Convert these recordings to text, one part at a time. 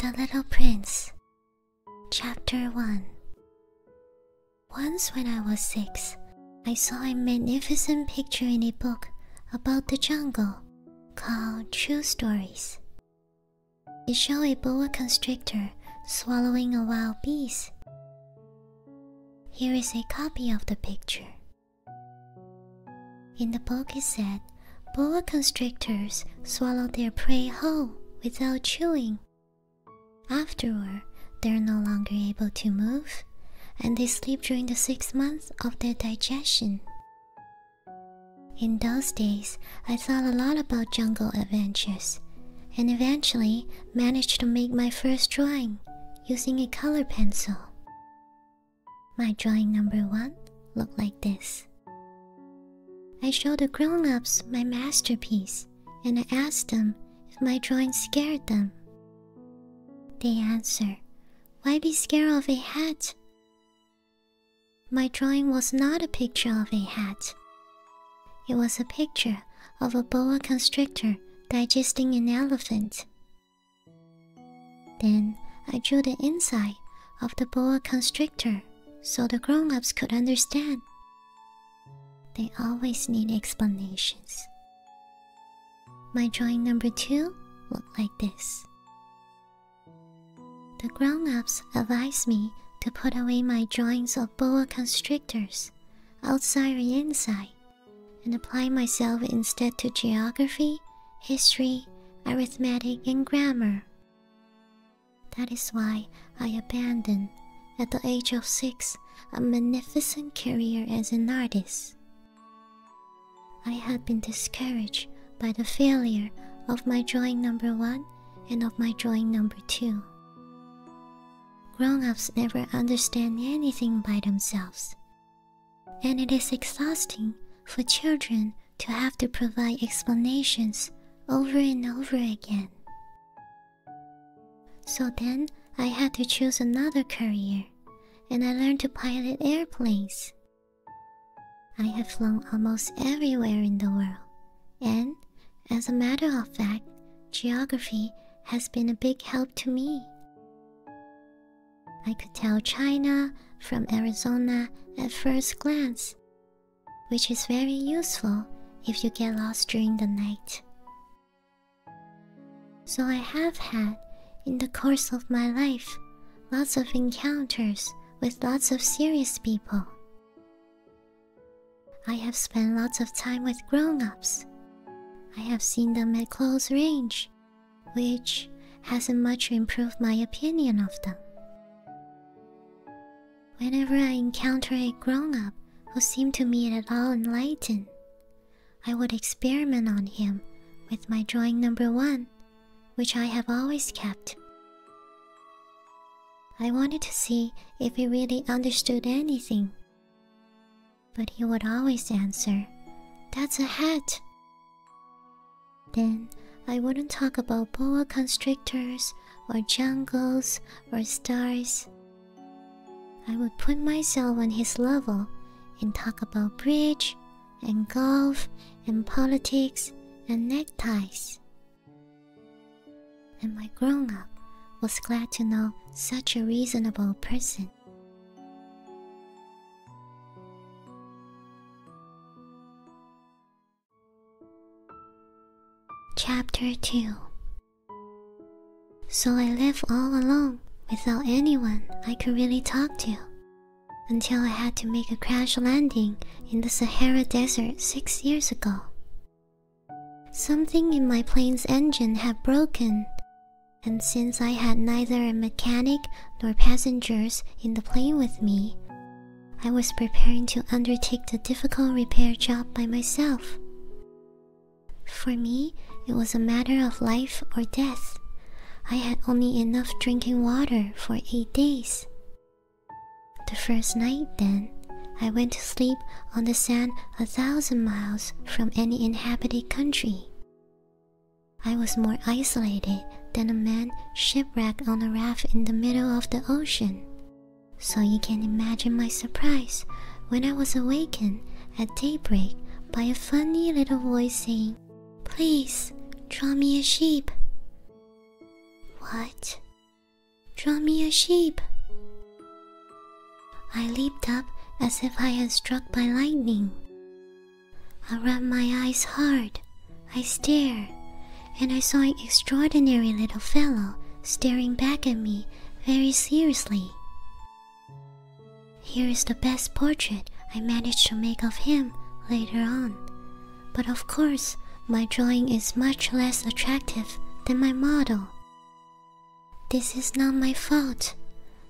The Little Prince, Chapter 1 Once when I was six, I saw a magnificent picture in a book about the jungle called True Stories. It showed a boa constrictor swallowing a wild beast. Here is a copy of the picture. In the book, it said boa constrictors swallow their prey whole without chewing. Afterward, they are no longer able to move and they sleep during the six months of their digestion. In those days, I thought a lot about jungle adventures and eventually managed to make my first drawing using a color pencil. My drawing number one looked like this. I showed the grown ups my masterpiece and I asked them if my drawing scared them. They answer, Why be scared of a hat? My drawing was not a picture of a hat. It was a picture of a boa constrictor digesting an elephant. Then I drew the inside of the boa constrictor so the grown ups could understand. They always need explanations. My drawing number two looked like this. The grown ups advised me to put away my drawings of boa constrictors, outside and inside, and apply myself instead to geography history, arithmetic, and grammar. That is why I abandoned, at the age of six, a magnificent career as an artist. I had been discouraged by the failure of my drawing number one and of my drawing number two. Grown ups never understand anything by themselves and it is exhausting for children to have to provide explanations over and over again. So then I had to choose another career, and I learned to pilot airplanes. I have flown almost everywhere in the world, and as a matter of fact, geography has been a big help to me. I could tell China from Arizona at first glance, which is very useful if you get lost during the night. So, I have had, in the course of my life, lots of encounters with lots of serious people. I have spent lots of time with grown ups. I have seen them at close range which hasn't much improved my opinion of them. Whenever I encounter a grown up who seemed to me at all enlightened, I would experiment on him with my drawing number one, which I have always kept. I wanted to see if he really understood anything, but he would always answer, That's a hat. Then I wouldn't talk about boa constrictors or jungles or stars. I would put myself on his level and talk about bridge and golf and politics and neckties. And my grown up was glad to know such a reasonable person. Chapter 2 So I lived all alone without anyone I could really talk to until I had to make a crash landing in the Sahara Desert six years ago. Something in my plane's engine had broken, and since I had neither a mechanic nor passengers in the plane with me, I was preparing to undertake the difficult repair job by myself. For me, it was a matter of life or death. I had only enough drinking water for eight days. The first night, then, I went to sleep on the sand a thousand miles from any inhabited country. I was more isolated than a man shipwrecked on a raft in the middle of the ocean. So you can imagine my surprise when I was awakened at daybreak by a funny little voice saying, Please, draw me a sheep. What? Draw me a sheep. I leaped up as if I had struck by lightning. I rub my eyes hard. I stare, and I saw an extraordinary little fellow staring back at me very seriously. Here is the best portrait I managed to make of him later on. But of course, my drawing is much less attractive than my model. This is not my fault.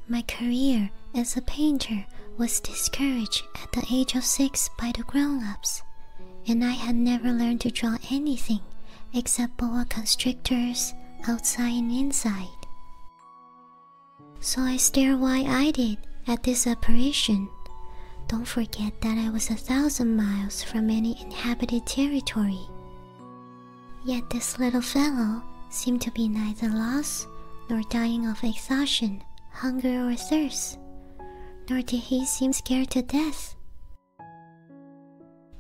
My career as a painter was discouraged at the age of six by the grown ups, and I had never learned to draw anything except boa constrictors outside and inside. So I stared wide eyed at this apparition. Don't forget that I was a thousand miles from any inhabited territory. Yet this little fellow seemed to be neither lost nor dying of exhaustion, hunger, or thirst, nor did he seem scared to death.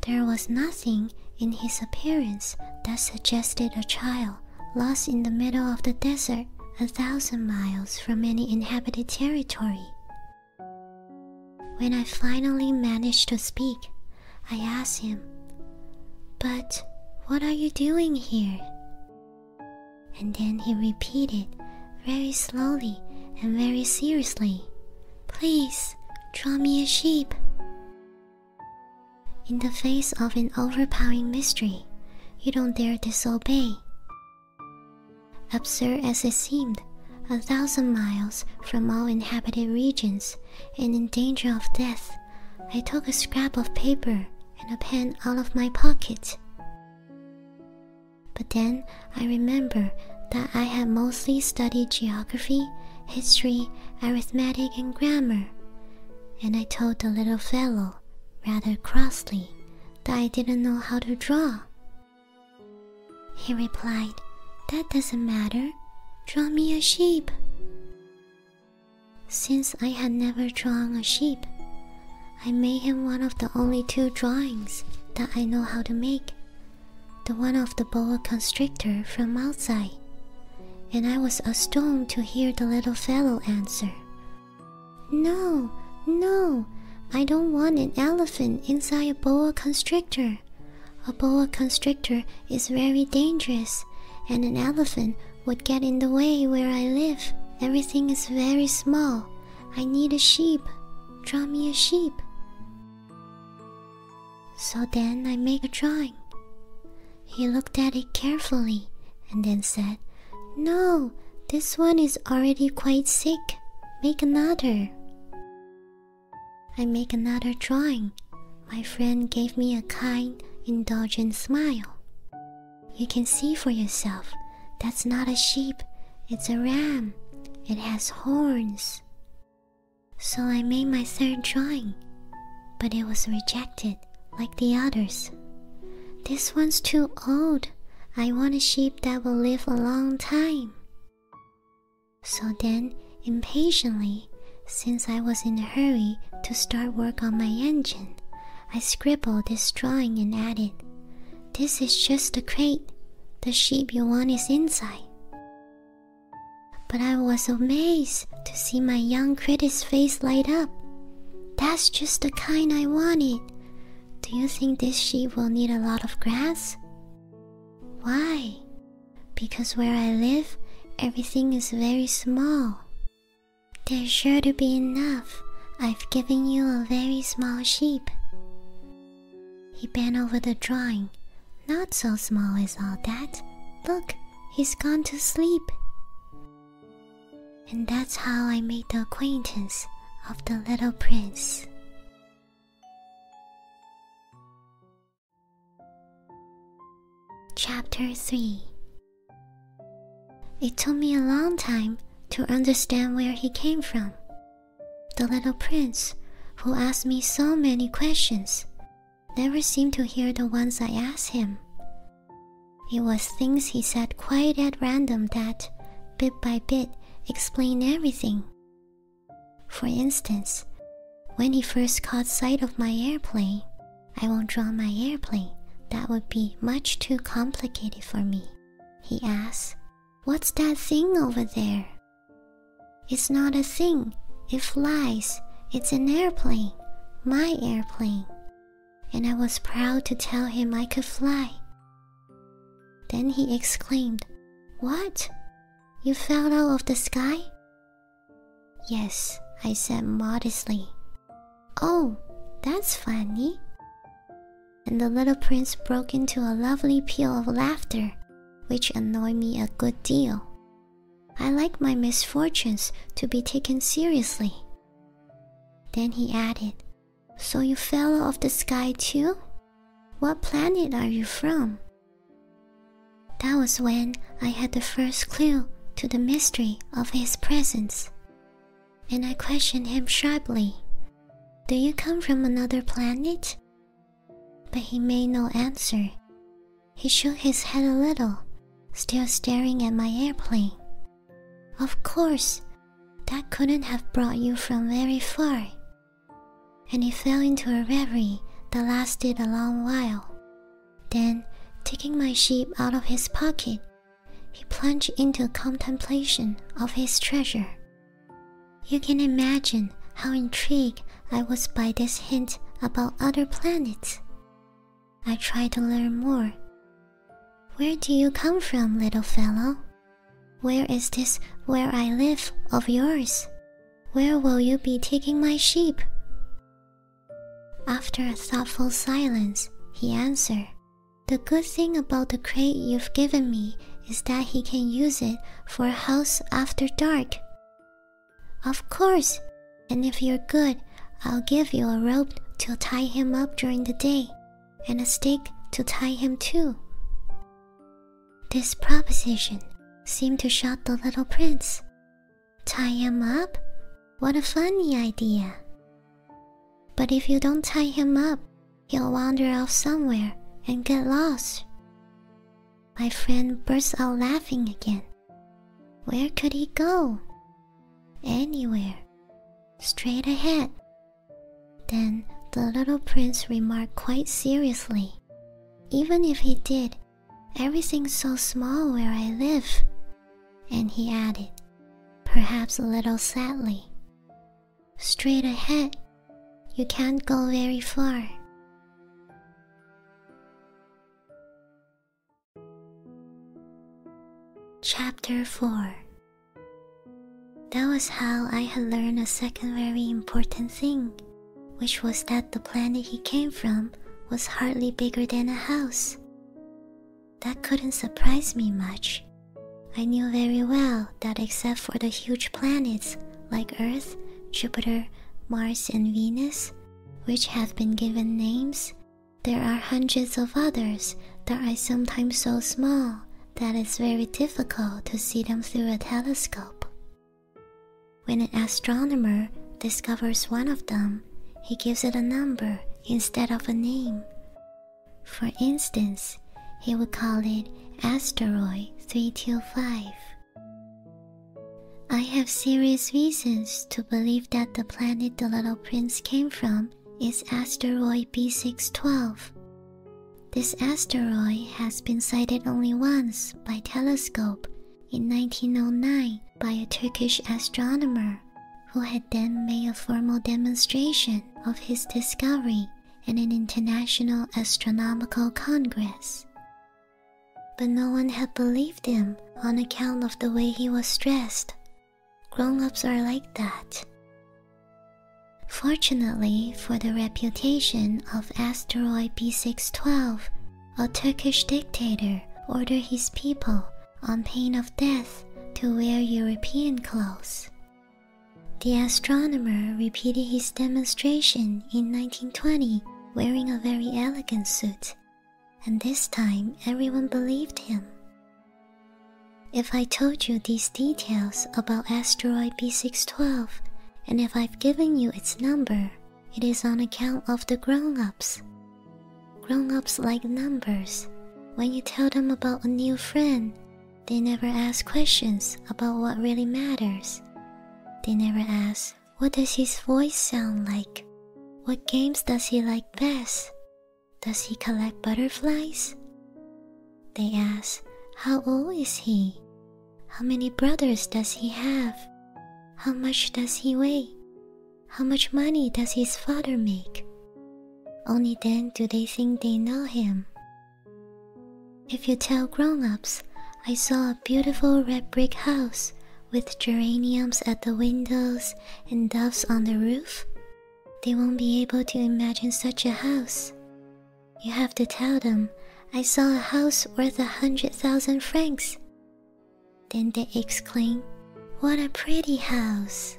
There was nothing in his appearance that suggested a child lost in the middle of the desert a thousand miles from any inhabited territory. When I finally managed to speak, I asked him, But what are you doing here? And then he repeated very slowly and very seriously, Please draw me a sheep. In the face of an overpowering mystery, you don't dare disobey. Absurd as it seemed, a thousand miles from all inhabited regions and in danger of death, I took a scrap of paper and a pen out of my pocket. But then I remember that I had mostly studied geography, history, arithmetic, and grammar, and I told the little fellow, rather crossly, that I didn't know how to draw. He replied, That doesn't matter. Draw me a sheep. Since I had never drawn a sheep, I made him one of the only two drawings that I know how to make the one of the boa constrictor from outside. And I was astounded to hear the little fellow answer No, no, I don't want an elephant inside a boa constrictor. A boa constrictor is very dangerous, and an elephant would get in the way where I live. Everything is very small, I need a sheep. Draw me a sheep. So then I make a drawing. He looked at it carefully and then said, No, this one is already quite sick. Make another. I make another drawing. My friend gave me a kind, indulgent smile. You can see for yourself that's not a sheep, it's a ram. It has horns. So I made my third drawing, but it was rejected like the others. This one's too old. I want a sheep that will live a long time. So then, impatiently, since I was in a hurry to start work on my engine, I scribbled this drawing and added, this is just a crate. The sheep you want is inside. But I was amazed to see my young critter's face light up. That's just the kind I wanted. Do you think this sheep will need a lot of grass? Why? Because where I live, everything is very small. There's sure to be enough. I've given you a very small sheep. He bent over the drawing. Not so small as all that. Look, he's gone to sleep. And that's how I made the acquaintance of the little prince. Chapter 3 it took me a long time to understand where he came from. The little prince, who asked me so many questions, never seemed to hear the ones I asked him. It was things he said quite at random that, bit by bit, explained everything. For instance, when he first caught sight of my airplane, I won't draw my airplane, that would be much too complicated for me. He asked, What's that thing over there? It's not a thing. It flies. It's an airplane. My airplane. And I was proud to tell him I could fly. Then he exclaimed, What? You fell out of the sky? Yes, I said modestly. Oh, that's funny and the little prince broke into a lovely peal of laughter, which annoyed me a good deal. I like my misfortunes to be taken seriously. Then he added, So you fell off the sky too? What planet are you from? That was when I had the first clue to the mystery of his presence and I questioned him sharply Do you come from another planet? But he made no answer. He shook his head a little, still staring at my airplane. Of course, that couldn't have brought you from very far. And he fell into a reverie that lasted a long while. Then, taking my sheep out of his pocket, he plunged into contemplation of his treasure. You can imagine how intrigued I was by this hint about other planets. I tried to learn more. Where do you come from, little fellow? Where is this where I live of yours? Where will you be taking my sheep? After a thoughtful silence, he answered, the good thing about the crate you've given me is that he can use it for a house after dark. Of course, and if you're good, I'll give you a rope to tie him up during the day, and a stick to tie him to. This proposition seemed to shock the little prince. Tie him up? What a funny idea! But if you don't tie him up, He'll wander off somewhere and get lost. My friend burst out laughing again. Where could he go? Anywhere. Straight ahead. Then the little prince remarked quite seriously Even if he did, everything's so small where I live. And he added, perhaps a little sadly, Straight ahead. You can't go very far. Chapter 4 That was how I had learned a second very important thing, which was that the planet he came from was hardly bigger than a house. That couldn't surprise me much. I knew very well that except for the huge planets like Earth, Jupiter, Mars, and Venus, which have been given names, there are hundreds of others that are sometimes so small that it's very difficult to see them through a telescope. When an astronomer discovers one of them, he gives it a number instead of a name, for instance, he would call it Asteroid 325. I have serious reasons to believe that the planet the little prince came from is asteroid B612. This asteroid has been sighted only once by telescope in 1909 by a Turkish astronomer who had then made a formal demonstration of his discovery at an international astronomical congress. But no one had believed him on account of the way he was dressed. Grown ups are like that. Fortunately for the reputation of asteroid B612, a Turkish dictator ordered his people, on pain of death, to wear European clothes, the astronomer repeated his demonstration in 1920 wearing a very elegant suit, and this time everyone believed him. If I told you these details about asteroid B612, and if I've given you its number, it is on account of the grown ups. Grown ups like numbers. When you tell them about a new friend, they never ask questions about what really matters. They never ask, what does his voice sound like? What games does he like best? Does he collect butterflies? They ask, how old is he? How many brothers does he have? How much does he weigh? How much money does his father make? Only then do they think they know him. If you tell grown ups, I saw a beautiful red brick house with geraniums at the windows and doves on the roof, they won't be able to imagine such a house. You have to tell them, I saw a house worth a hundred thousand francs. Then they exclaim, What a pretty house!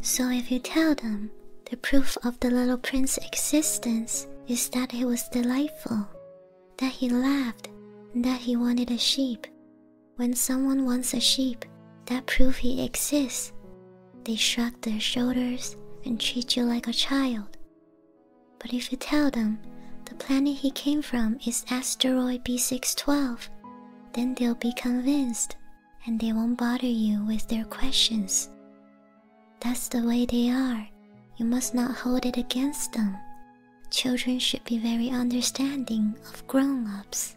So, if you tell them, the proof of the little prince's existence is that he was delightful, that he laughed, and that he wanted a sheep. When someone wants a sheep, that proves he exists. They shrug their shoulders and treat you like a child. But if you tell them the planet he came from is asteroid B612, then they'll be convinced and they won't bother you with their questions. That's the way they are. You must not hold it against them. Children should be very understanding of grown ups.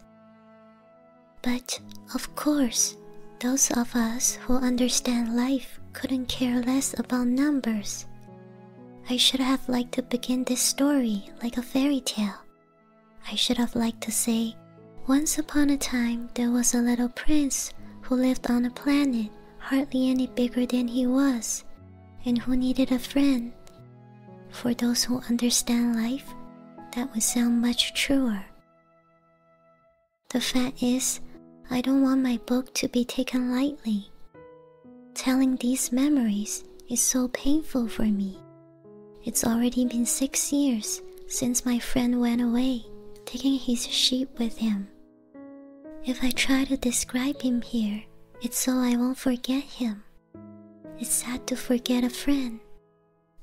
But, of course, those of us who understand life couldn't care less about numbers. I should have liked to begin this story like a fairy tale I should have liked to say, Once upon a time there was a little prince who lived on a planet hardly any bigger than he was, and who needed a friend. For those who understand life, that would sound much truer. The fact is, I don't want my book to be taken lightly. Telling these memories is so painful for me it's already been six years since my friend went away, taking his sheep with him. If I try to describe him here, it's so I won't forget him. It's sad to forget a friend.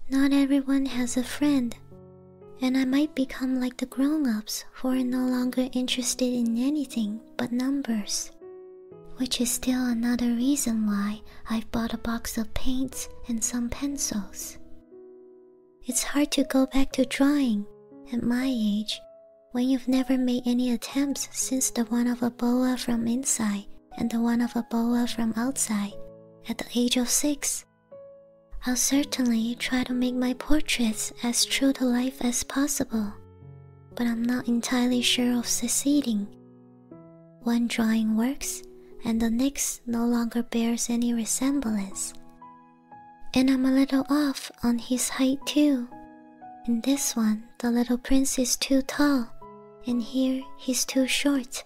Not everyone has a friend, and I might become like the grown ups who are no longer interested in anything but numbers, which is still another reason why I've bought a box of paints and some pencils. It's hard to go back to drawing at my age when you've never made any attempts since the one of a boa from inside and the one of a boa from outside at the age of six. I'll certainly try to make my portraits as true to life as possible, but I'm not entirely sure of succeeding one drawing works and the next no longer bears any resemblance. And I'm a little off on his height too. In this one, the little prince is too tall, and here he's too short.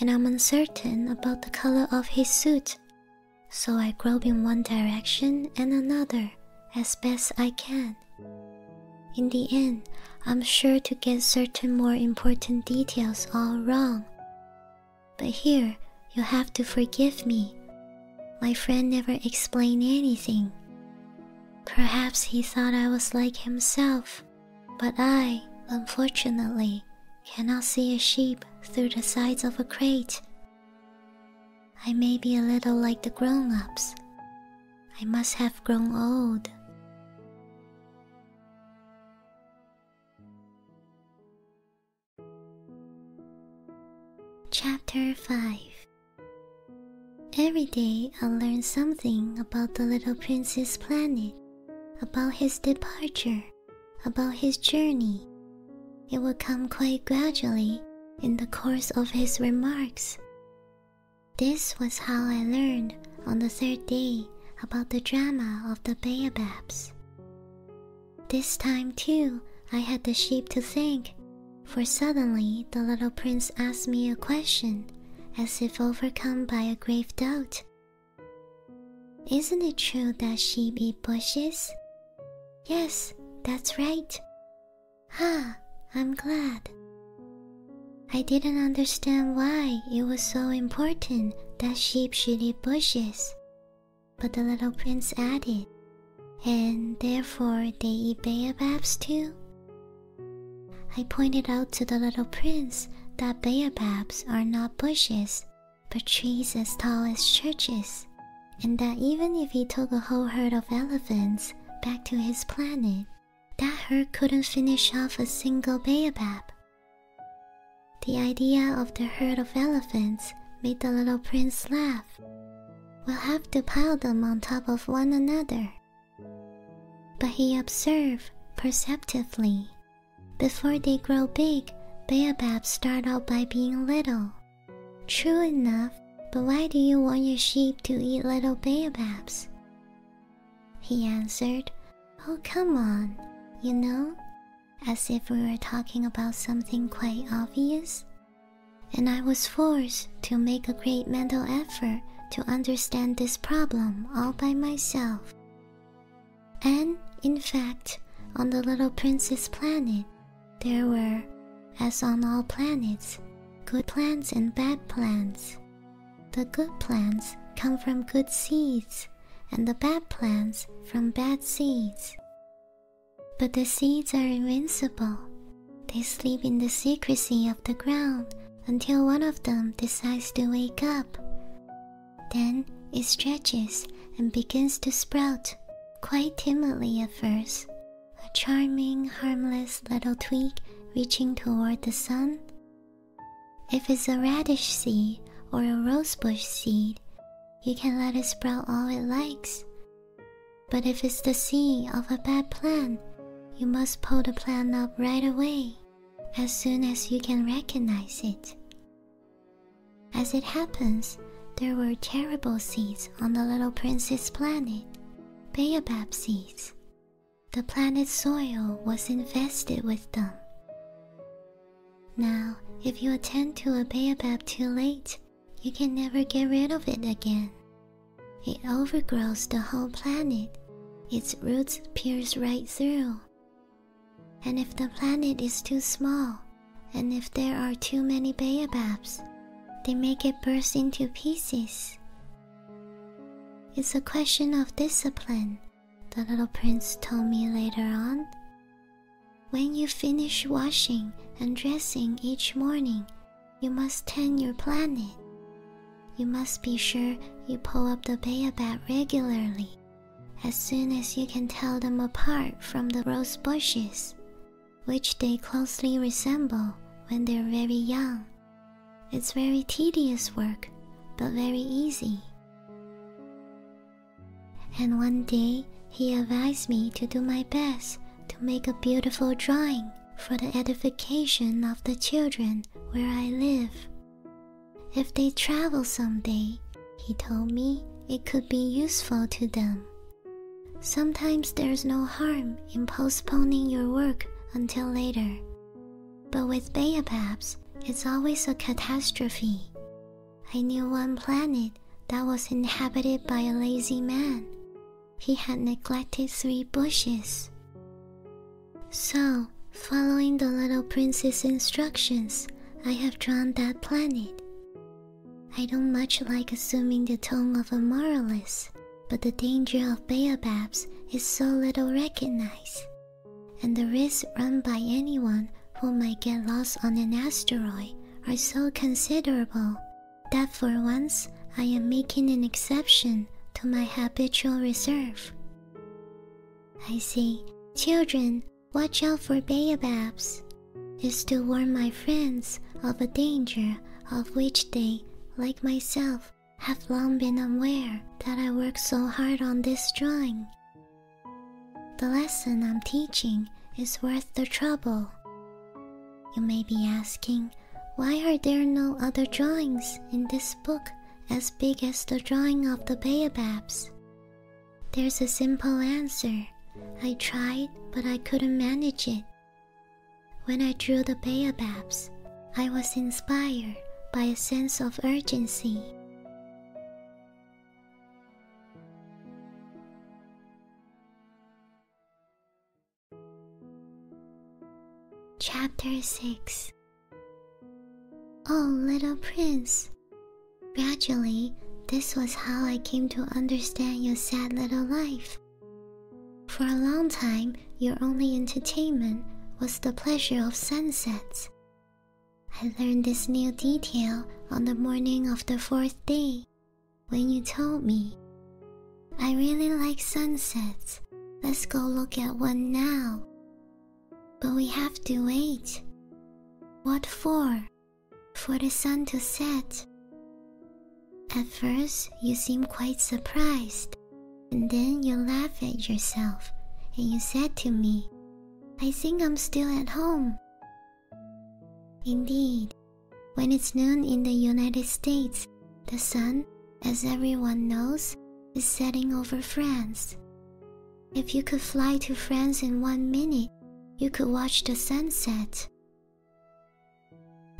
And I'm uncertain about the color of his suit, so I grope in one direction and another as best I can. In the end, I'm sure to get certain more important details all wrong. But here, you'll have to forgive me. My friend never explained anything. Perhaps he thought I was like himself, but I, unfortunately, cannot see a sheep through the sides of a crate. I may be a little like the grown ups. I must have grown old. Chapter 5 Every day I learn something about the little prince's planet, about his departure, about his journey. It will come quite gradually in the course of his remarks. This was how I learned on the third day about the drama of the baobabs. This time, too, I had the sheep to think, for suddenly the little prince asked me a question, as if overcome by a grave doubt. Isn't it true that she be bushes? Yes, that's right. Ah, I'm glad. I didn't understand why it was so important that sheep should eat bushes, but the little prince added, and therefore they eat baobabs too. I pointed out to the little prince that baobabs are not bushes, but trees as tall as churches, and that even if he took a whole herd of elephants back to his planet, that herd couldn't finish off a single baobab. The idea of the herd of elephants made the little prince laugh. We'll have to pile them on top of one another. But he observed perceptively. Before they grow big, baobabs start out by being little. True enough, but why do you want your sheep to eat little baobabs? He answered, Oh, come on, you know, as if we were talking about something quite obvious. And I was forced to make a great mental effort to understand this problem all by myself. And, in fact, on the little prince's planet, there were, as on all planets, good plants and bad plants. The good plants come from good seeds, and the bad plants from bad seeds. But the seeds are invincible. They sleep in the secrecy of the ground until one of them decides to wake up. Then it stretches and begins to sprout, quite timidly at first, a charming, harmless little twig reaching toward the sun if it's a radish seed or a rosebush seed, you can let it sprout all it likes. But if it's the seed of a bad plant, you must pull the plant up right away, as soon as you can recognize it. As it happens, there were terrible seeds on the little prince's planet, baobab seeds, the planet's soil was infested with them. Now, if you attempt to a baobab too late, you can never get rid of it again. It overgrows the whole planet. Its roots pierce right through. And if the planet is too small, and if there are too many baobabs, they make it burst into pieces. It's a question of discipline the little prince told me later on. When you finish washing and dressing each morning, you must tend your planet. You must be sure you pull up the baobab regularly as soon as you can tell them apart from the rose bushes, which they closely resemble when they're very young it's very tedious work, but very easy. And one day he advised me to do my best to make a beautiful drawing for the edification of the children where I live. If they travel someday, he told me it could be useful to them. Sometimes there's no harm in postponing your work until later, but with baobabs, it's always a catastrophe. I knew one planet that was inhabited by a lazy man. He had neglected three bushes. So, following the little prince's instructions, I have drawn that planet. I don't much like assuming the tone of a moralist, but the danger of baobabs is so little recognized and the risks run by anyone who might get lost on an asteroid are so considerable that for once I am making an exception to my habitual reserve. I say, Children, watch out for baobabs, is to warn my friends of a danger of which they, like myself, have long been unaware. that I worked so hard on this drawing. The lesson I'm teaching is worth the trouble. You may be asking, why are there no other drawings in this book as big as the drawing of the baobabs? There's a simple answer. I tried, but I couldn't manage it. When I drew the baobabs, I was inspired by a sense of urgency. Chapter 6 Oh, little prince. Gradually, this was how I came to understand your sad little life. For a long time, your only entertainment was the pleasure of sunsets I learned this new detail on the morning of the fourth day when you told me. I really like sunsets. Let's go look at one now. But we have to wait. What for? For the sun to set. At first, you seem quite surprised, and then you laugh at yourself and you said to me, I think I'm still at home. Indeed, when it's noon in the United States, the sun, as everyone knows, is setting over France. If you could fly to France in one minute, you could watch the sunset.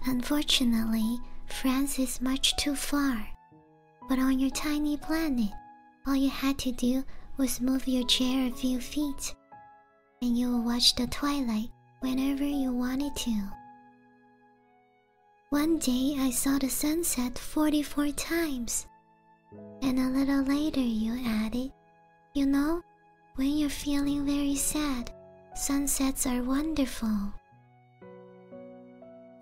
Unfortunately, France is much too far. But on your tiny planet, all you had to do was move your chair a few feet, and you would watch the twilight whenever you wanted to. One day I saw the sunset 44 times, and a little later you added, You know, when you're feeling very sad, sunsets are wonderful.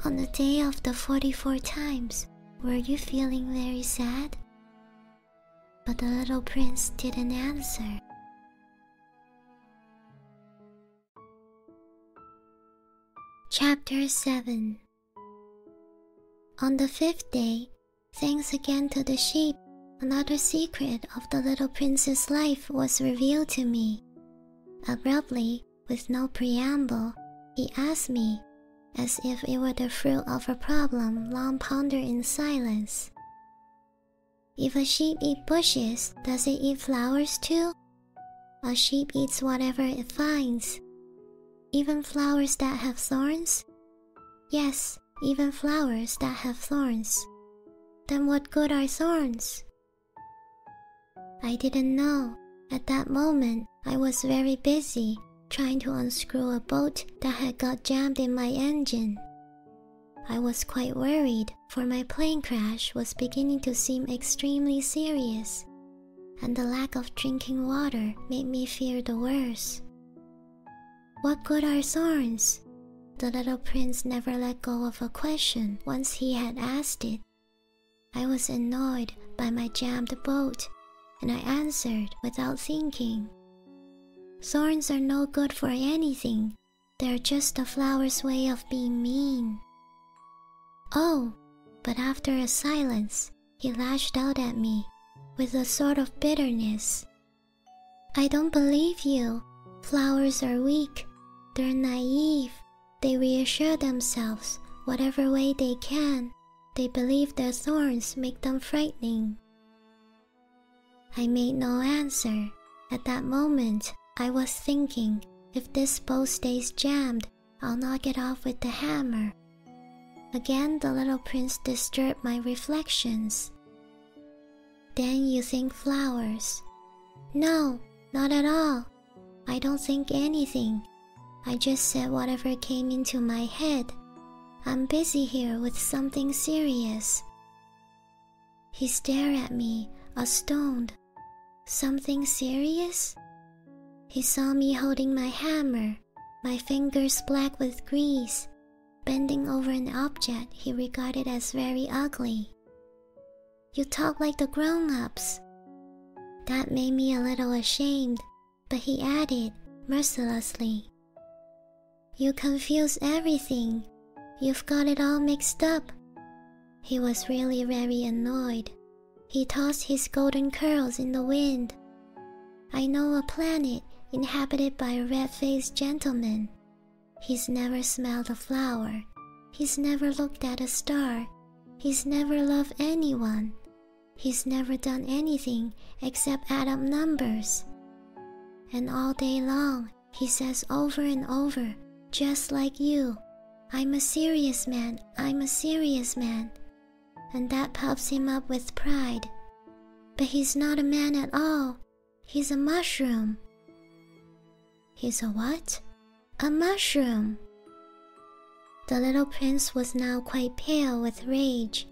On the day of the 44 times, were you feeling very sad? But the little prince didn't answer. Chapter 7 On the fifth day, thanks again to the sheep, another secret of the little prince's life was revealed to me. Abruptly, with no preamble, he asked me, as if it were the fruit of a problem long pondered in silence. If a sheep eats bushes, does it eat flowers too? A sheep eats whatever it finds. Even flowers that have thorns? Yes, even flowers that have thorns. Then what good are thorns? I didn't know, at that moment, I was very busy trying to unscrew a bolt that had got jammed in my engine. I was quite worried, for my plane crash was beginning to seem extremely serious, and the lack of drinking water made me fear the worst. What good are thorns? The little prince never let go of a question once he had asked it. I was annoyed by my jammed boat, and I answered without thinking. Thorns are no good for anything, they are just a flower's way of being mean. Oh, but after a silence, he lashed out at me with a sort of bitterness. I don't believe you. Flowers are weak, they're naive, they reassure themselves whatever way they can. They believe their thorns make them frightening. I made no answer. At that moment, I was thinking if this bow stays jammed, I'll knock it off with the hammer. Again, the little prince disturbed my reflections. Then you think flowers. No, not at all. I don't think anything. I just said whatever came into my head. I'm busy here with something serious. He stared at me, astounded. Something serious? He saw me holding my hammer, my fingers black with grease, bending over an object he regarded as very ugly. You talk like the grown ups. That made me a little ashamed but he added mercilessly, You confuse everything. You've got it all mixed up. He was really very annoyed. He tossed his golden curls in the wind. I know a planet inhabited by a red faced gentleman. He's never smelled a flower. He's never looked at a star. He's never loved anyone. He's never done anything except add up numbers. And all day long, he says over and over, just like you, I'm a serious man, I'm a serious man. And that pumps him up with pride. But he's not a man at all. He's a mushroom. He's a what? A mushroom. The little prince was now quite pale with rage.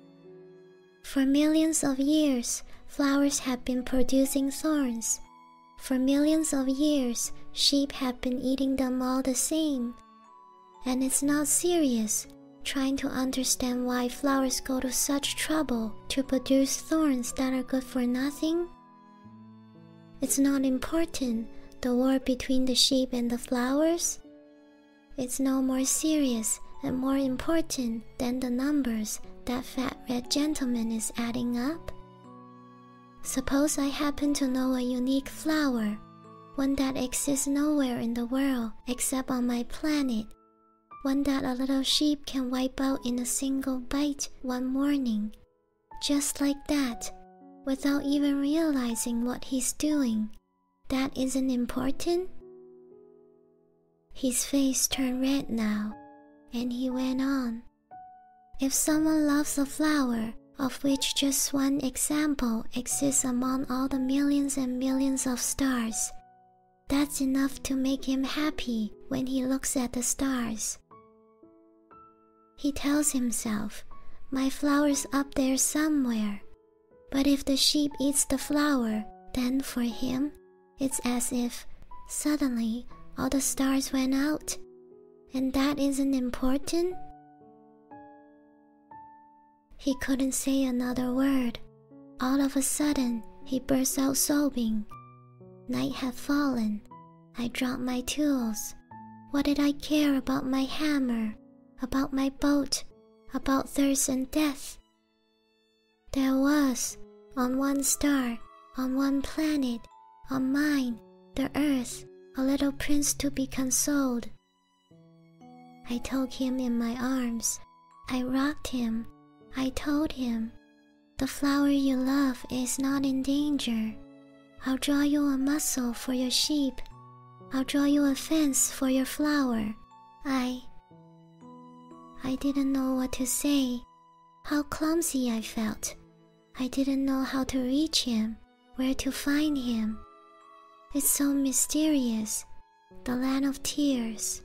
For millions of years, flowers have been producing thorns. For millions of years, sheep have been eating them all the same. And it's not serious trying to understand why flowers go to such trouble to produce thorns that are good for nothing. It's not important, the war between the sheep and the flowers. It's no more serious and more important than the numbers that fat red gentleman is adding up. Suppose I happen to know a unique flower, one that exists nowhere in the world except on my planet, one that a little sheep can wipe out in a single bite one morning, just like that, without even realizing what he's doing. That isn't important? His face turned red now, and he went on. If someone loves a flower, of which just one example exists among all the millions and millions of stars, that's enough to make him happy when he looks at the stars. He tells himself, My flower's up there somewhere, but if the sheep eats the flower, then for him it's as if suddenly all the stars went out, and that isn't important? He couldn't say another word. All of a sudden, he burst out sobbing. Night had fallen. I dropped my tools. What did I care about my hammer? about my boat, about thirst and death. There was, on one star, on one planet, on mine, the earth, a little prince to be consoled. I took him in my arms. I rocked him. I told him, The flower you love is not in danger. I'll draw you a mussel for your sheep I'll draw you a fence for your flower. I. I didn't know what to say. How clumsy I felt. I didn't know how to reach him, where to find him. It's so mysterious, the land of tears.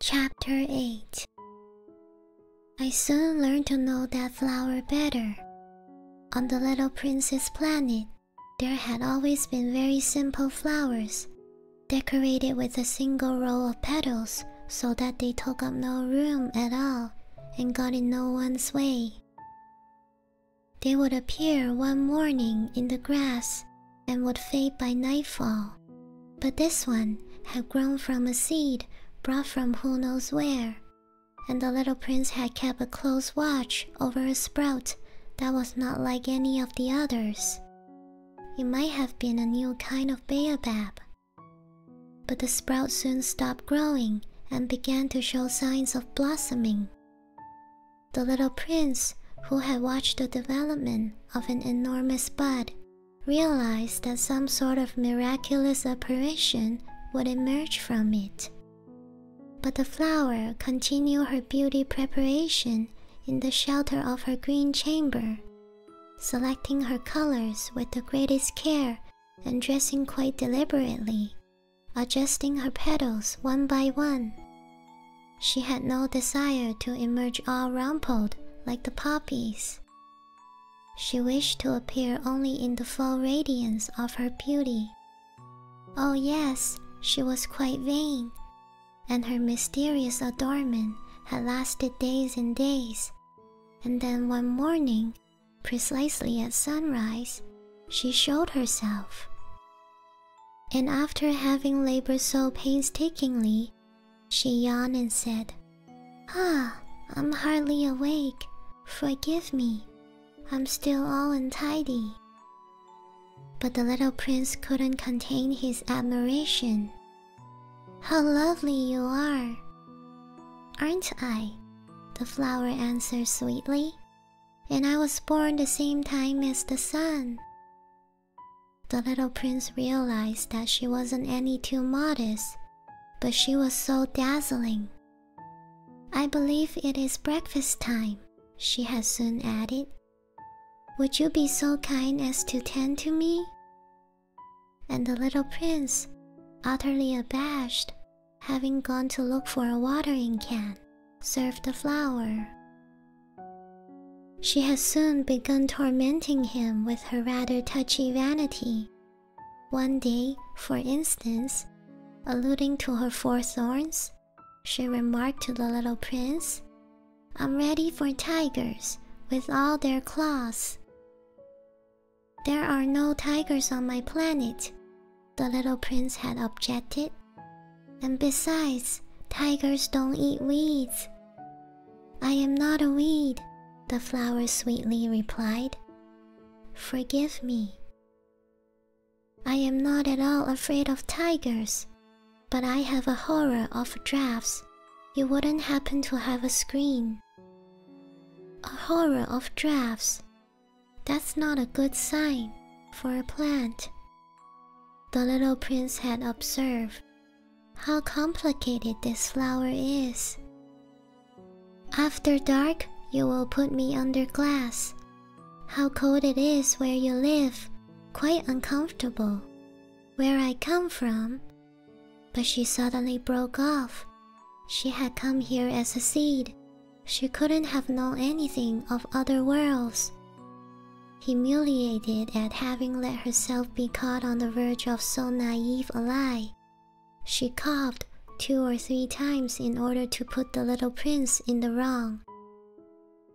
Chapter 8 I soon learned to know that flower better. On the little prince's planet, there had always been very simple flowers, decorated with a single row of petals so that they took up no room at all and got in no one's way. They would appear one morning in the grass and would fade by nightfall. But this one had grown from a seed brought from who knows where, and the little prince had kept a close watch over a sprout that was not like any of the others. It might have been a new kind of baobab. But the sprout soon stopped growing and began to show signs of blossoming. The little prince, who had watched the development of an enormous bud, realized that some sort of miraculous apparition would emerge from it. But the flower continued her beauty preparation in the shelter of her green chamber, selecting her colors with the greatest care and dressing quite deliberately, adjusting her petals one by one. She had no desire to emerge all rumpled like the poppies. She wished to appear only in the full radiance of her beauty. Oh, yes, she was quite vain, and her mysterious adornment had lasted days and days. And then one morning, precisely at sunrise, she showed herself. And after having labored so painstakingly, she yawned and said, Ah, I'm hardly awake. Forgive me. I'm still all untidy. But the little prince couldn't contain his admiration. How lovely you are! Aren't I? The flower answered sweetly. And I was born the same time as the sun. The little prince realized that she wasn't any too modest, but she was so dazzling. I believe it is breakfast time, she had soon added. Would you be so kind as to tend to me? And the little prince, utterly abashed, having gone to look for a watering can, serve the flower. She had soon begun tormenting him with her rather touchy vanity. One day, for instance, alluding to her four thorns, she remarked to the little prince, I'm ready for tigers with all their claws. There are no tigers on my planet, the little prince had objected. And besides, tigers don't eat weeds. I am not a weed, the flower sweetly replied. Forgive me. I am not at all afraid of tigers, but I have a horror of drafts. You wouldn't happen to have a screen. A horror of drafts. That's not a good sign for a plant, the little prince had observed how complicated this flower is. After dark, you will put me under glass. How cold it is where you live, quite uncomfortable. Where I come from. But she suddenly broke off. She had come here as a seed. She couldn't have known anything of other worlds humiliated at having let herself be caught on the verge of so naive a lie. She coughed two or three times in order to put the little prince in the wrong.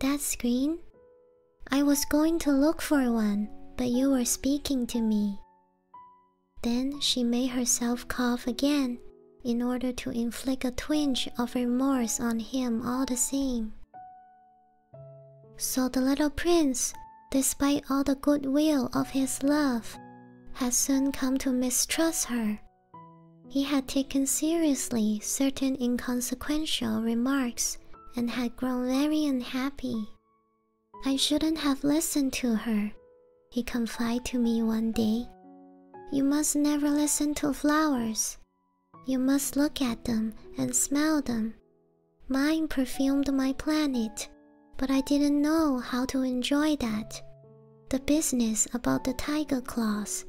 That screen? I was going to look for one, but you were speaking to me. Then she made herself cough again in order to inflict a twinge of remorse on him all the same. So the little prince, despite all the good will of his love, had soon come to mistrust her. He had taken seriously certain inconsequential remarks and had grown very unhappy. I shouldn't have listened to her, he confided to me one day. You must never listen to flowers. You must look at them and smell them. Mine perfumed my planet, but I didn't know how to enjoy that. The business about the tiger claws,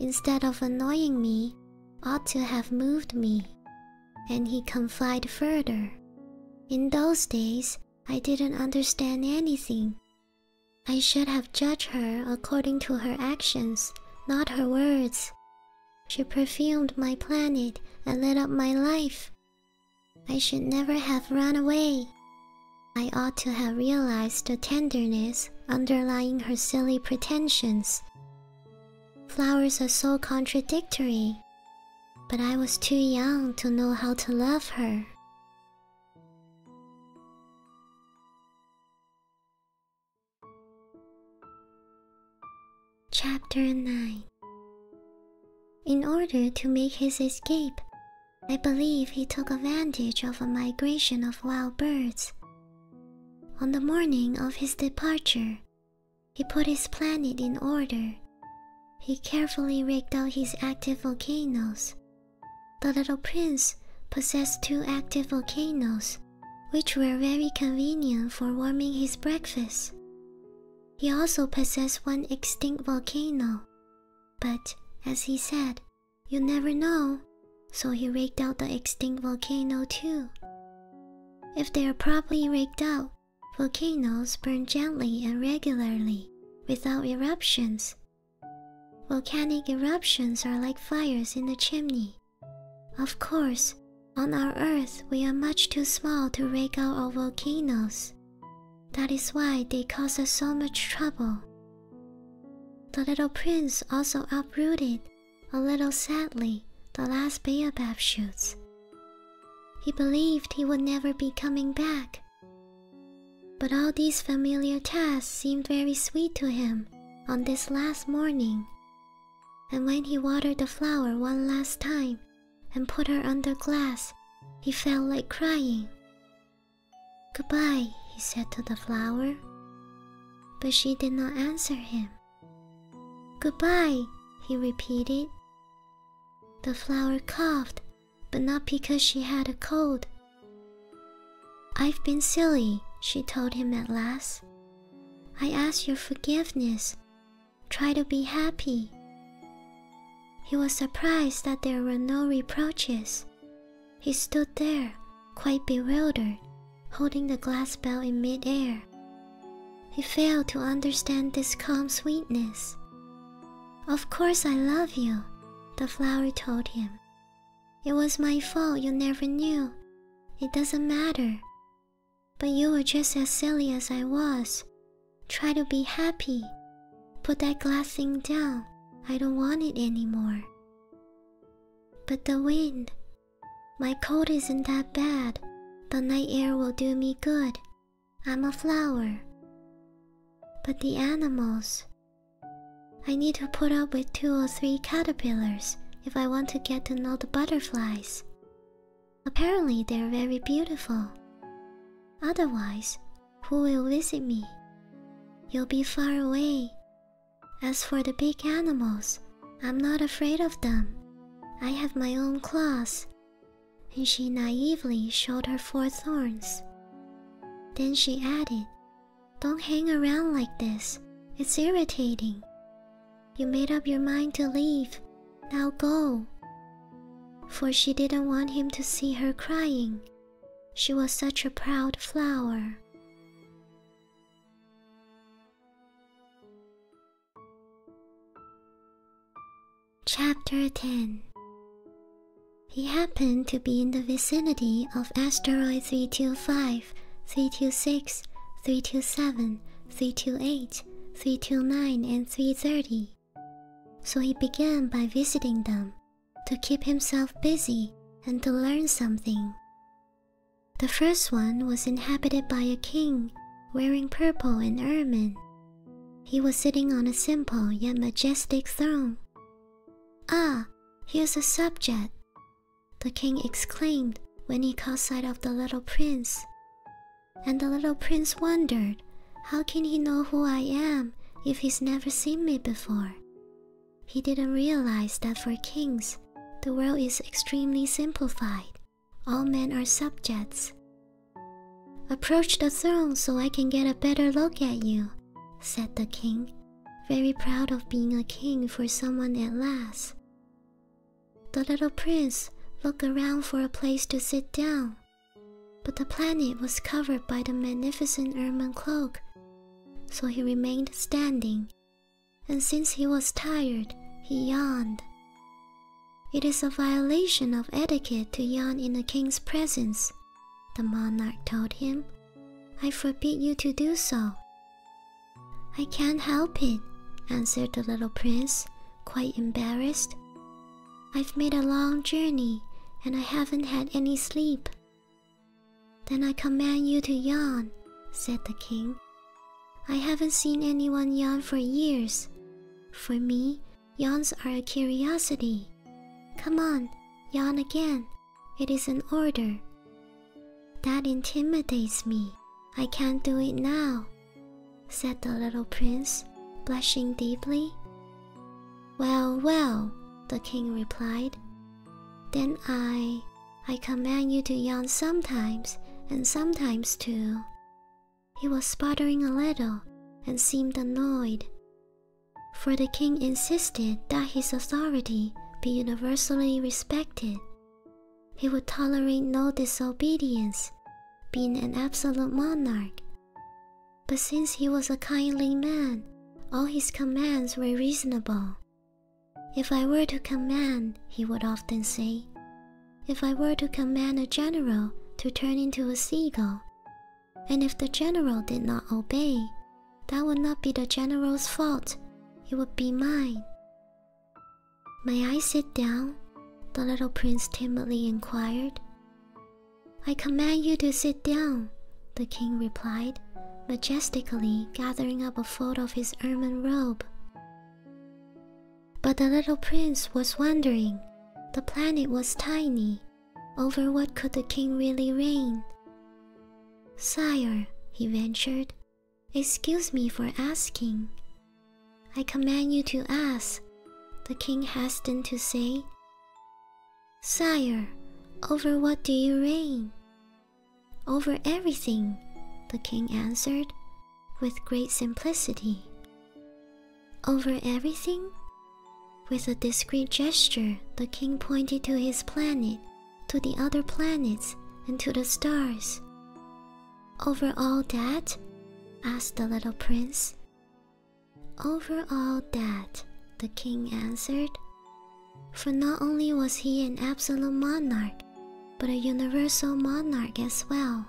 instead of annoying me, ought to have moved me. And he confided further. In those days, I didn't understand anything. I should have judged her according to her actions, not her words, she perfumed my planet and lit up my life. I should never have run away. I ought to have realized the tenderness underlying her silly pretensions. Flowers are so contradictory, but I was too young to know how to love her. Chapter 9 In order to make his escape, I believe he took advantage of a migration of wild birds. On the morning of his departure, he put his planet in order. He carefully raked out his active volcanoes. The little prince possessed two active volcanoes which were very convenient for warming his breakfast. He also possessed one extinct volcano, but as he said, you never know, so he raked out the extinct volcano too. If they are properly raked out, volcanoes burn gently and regularly without eruptions. Volcanic eruptions are like fires in the chimney. Of course, on our Earth we are much too small to rake out our volcanoes. That is why they cause us so much trouble. The little prince also uprooted, a little sadly, the last baobab shoots. He believed he would never be coming back. But all these familiar tasks seemed very sweet to him on this last morning and when he watered the flower one last time and put her under glass, he felt like crying. Goodbye, he said to the flower. But she did not answer him. Goodbye, he repeated. The flower coughed, but not because she had a cold. I've been silly, she told him at last. I ask your forgiveness. Try to be happy. He was surprised that there were no reproaches. He stood there, quite bewildered, holding the glass bell in midair. He failed to understand this calm sweetness. Of course, I love you, the flower told him, it was my fault you never knew. It doesn't matter. But you were just as silly as I was. Try to be happy. Put that glass thing down. I don't want it anymore. But the wind. My coat isn't that bad, The night air will do me good. I'm a flower. But the animals. I need to put up with two or three caterpillars if I want to get to know the butterflies. Apparently, they're very beautiful. Otherwise, who will visit me? You'll be far away. As for the big animals, I'm not afraid of them. I have my own claws. And she naively showed her four thorns. Then she added, Don't hang around like this, it's irritating. You made up your mind to leave. Now go. For she didn't want him to see her crying. She was such a proud flower. Chapter 10 He happened to be in the vicinity of asteroid 325 Three three three six, seven, 325, eight, three 328, nine, and 330. So he began by visiting them to keep himself busy and to learn something. The first one was inhabited by a king wearing purple and ermine. He was sitting on a simple yet majestic throne. Ah, here's a subject the king exclaimed when he caught sight of the little prince. And the little prince wondered, How can he know who I am if he's never seen me before? He didn't realize that for kings, the world is extremely simplified. All men are subjects. Approach the throne so I can get a better look at you, said the king, very proud of being a king for someone at last. The little prince looked around for a place to sit down, but the planet was covered by the magnificent ermine cloak, so he remained standing, and since he was tired, he yawned. It is a violation of etiquette to yawn in a king's presence, the monarch told him. I forbid you to do so. I can't help it, answered the little prince, quite embarrassed. I've made a long journey and I haven't had any sleep. Then I command you to yawn, said the king. I haven't seen anyone yawn for years. For me, yawns are a curiosity. Come on, yawn again. It is an order. That intimidates me. I can't do it now, said the little prince, blushing deeply. Well, well, the king replied. Then I. I command you to yawn sometimes and sometimes too. He was sputtering a little and seemed annoyed, for the king insisted that his authority be universally respected. He would tolerate no disobedience, being an absolute monarch. But since he was a kindly man, all his commands were reasonable. If I were to command, he would often say, if I were to command a general to turn into a seagull, and if the general did not obey, that would not be the general's fault, it would be mine. May I sit down? The little prince timidly inquired. I command you to sit down, the king replied, majestically gathering up a fold of his ermine robe. But the little prince was wondering. The planet was tiny. Over what could the king really reign? Sire, he ventured, Excuse me for asking. I command you to ask, the king hastened to say. Sire, over what do you reign? Over everything, the king answered with great simplicity. Over everything? With a discreet gesture, the king pointed to his planet to the other planets and to the stars. Over all that? asked the little prince. Over all that, the king answered. For not only was he an absolute monarch, but a universal monarch as well.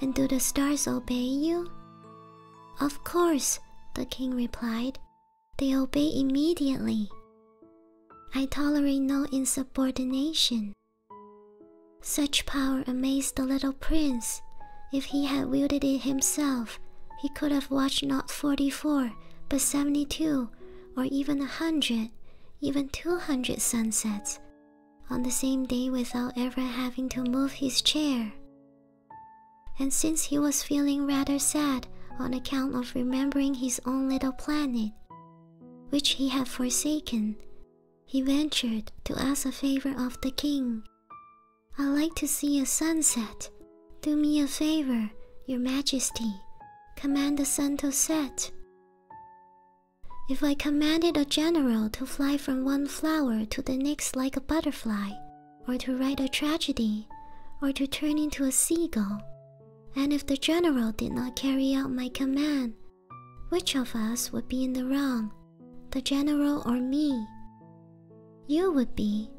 And do the stars obey you? Of course, the king replied. They obey immediately. I tolerate no insubordination. Such power amazed the little prince. If he had wielded it himself, he could have watched not forty four, but seventy two, or even a hundred, even two hundred sunsets on the same day without ever having to move his chair. And since he was feeling rather sad on account of remembering his own little planet, which he had forsaken, he ventured to ask a favor of the king. i like to see a sunset. Do me a favor, your majesty. Command the sun to set. If I commanded a general to fly from one flower to the next like a butterfly, or to write a tragedy, or to turn into a seagull, and if the general did not carry out my command, which of us would be in the wrong, the general or me? You would be,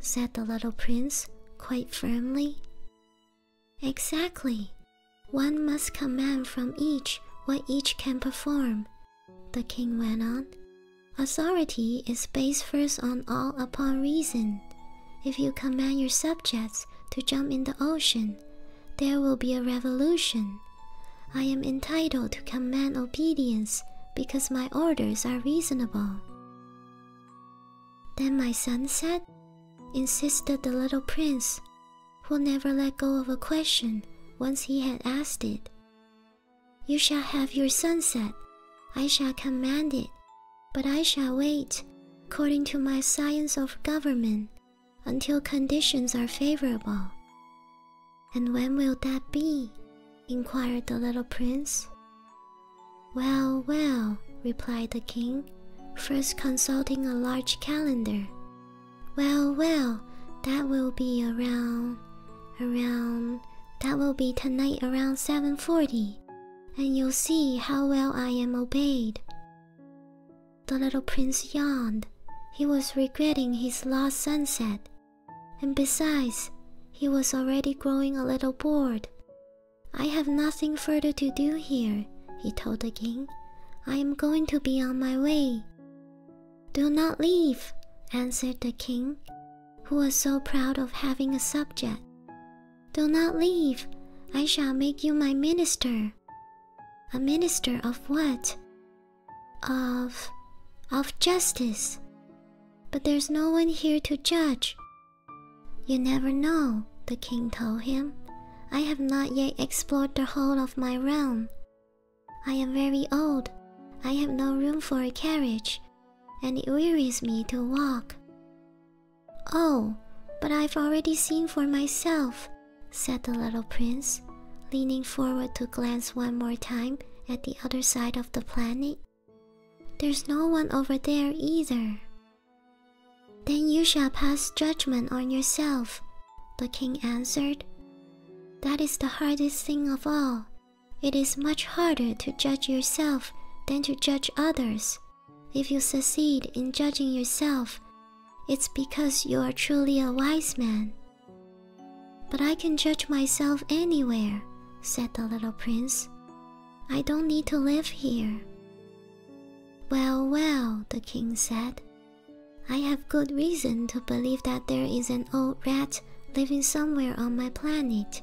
said the little prince quite firmly. Exactly. One must command from each what each can perform, the king went on. Authority is based first on all upon reason. If you command your subjects to jump in the ocean, there will be a revolution. I am entitled to command obedience because my orders are reasonable. Then my son said, insisted the little prince, who never let go of a question once he had asked it. You shall have your sunset, I shall command it, but I shall wait, according to my science of government, until conditions are favorable. And when will that be? inquired the little prince. Well, well, replied the king, first consulting a large calendar. Well, well, that will be around, around, that will be tonight around 7.40, and you'll see how well I am obeyed. The little prince yawned. He was regretting his lost sunset, and besides, he was already growing a little bored. I have nothing further to do here, he told the king. I am going to be on my way. Do not leave, answered the king, who was so proud of having a subject. Do not leave. I shall make you my minister. A minister of what? Of. of justice. But there's no one here to judge. You never know, the king told him. I have not yet explored the whole of my realm. I am very old. I have no room for a carriage, and it wearies me to walk. Oh, but I've already seen for myself, said the little prince, leaning forward to glance one more time at the other side of the planet. There's no one over there either. Then you shall pass judgment on yourself, the king answered. That is the hardest thing of all. It is much harder to judge yourself than to judge others, if you succeed in judging yourself, it's because you are truly a wise man. But I can judge myself anywhere, said the little prince. I don't need to live here. Well, well, the king said. I have good reason to believe that there is an old rat living somewhere on my planet.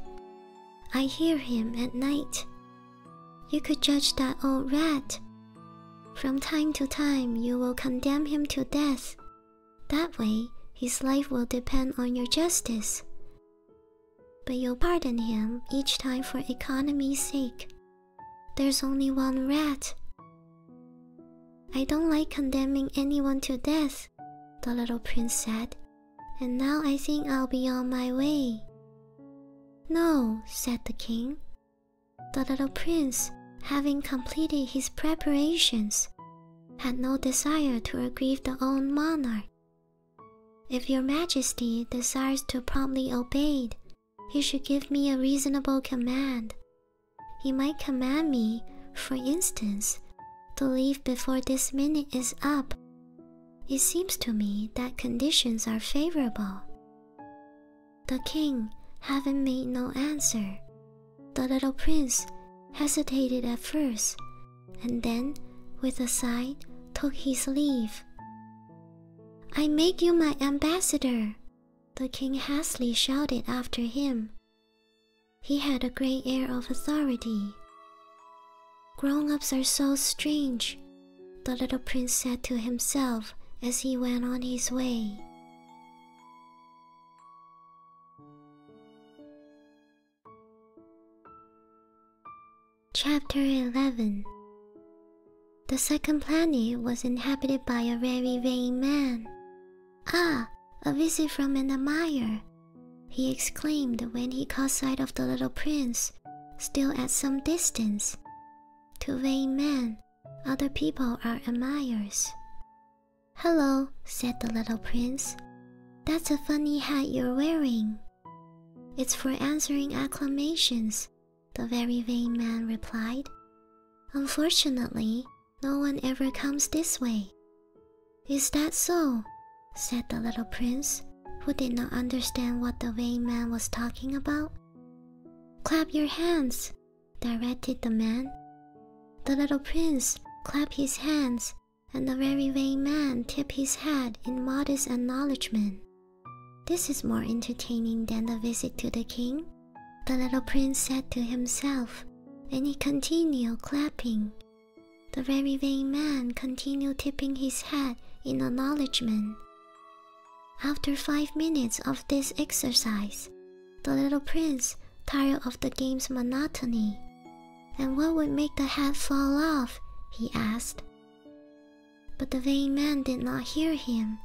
I hear him at night you could judge that old rat. From time to time, you will condemn him to death. That way, his life will depend on your justice. But you'll pardon him each time for economy's sake. There's only one rat. I don't like condemning anyone to death, the little prince said, and now I think I'll be on my way. No, said the king, the little prince, having completed his preparations, had no desire to aggrieve the old monarch. If your majesty desires to promptly obey it, he should give me a reasonable command. He might command me, for instance, to leave before this minute is up. It seems to me that conditions are favorable. The king, having made no answer, the little prince hesitated at first, and then, with a sigh, took his leave. I make you my ambassador, the king hastily shouted after him. He had a great air of authority. Grown ups are so strange, the little prince said to himself as he went on his way. Chapter 11 The second planet was inhabited by a very vain man. Ah, a visit from an admirer! he exclaimed when he caught sight of the little prince, still at some distance. To vain men, other people are admirers. Hello, said the little prince. That's a funny hat you're wearing. It's for answering acclamations, the very vain man replied. Unfortunately, no one ever comes this way. Is that so? said the little prince, who did not understand what the vain man was talking about. Clap your hands, directed the man. The little prince clapped his hands, and the very vain man tipped his head in modest acknowledgment. This is more entertaining than the visit to the king, the little prince said to himself, and he continued clapping. The very vain man continued tipping his head in acknowledgment. After five minutes of this exercise, the little prince tired of the game's monotony. And what would make the hat fall off? he asked. But the vain man did not hear him.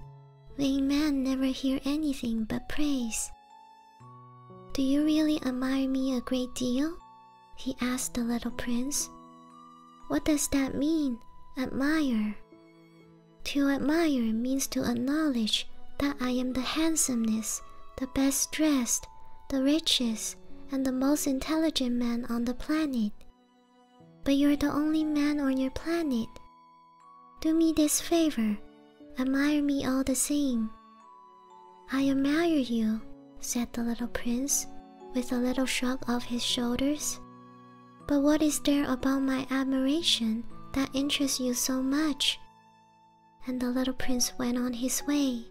Vain men never hear anything but praise. Do you really admire me a great deal? he asked the little prince. What does that mean, admire? To admire means to acknowledge that I am the handsomest, the best dressed, the richest, and the most intelligent man on the planet. But you're the only man on your planet. Do me this favor, admire me all the same. I admire you, said the little prince, with a little shrug of his shoulders. But what is there about my admiration that interests you so much? And the little prince went on his way.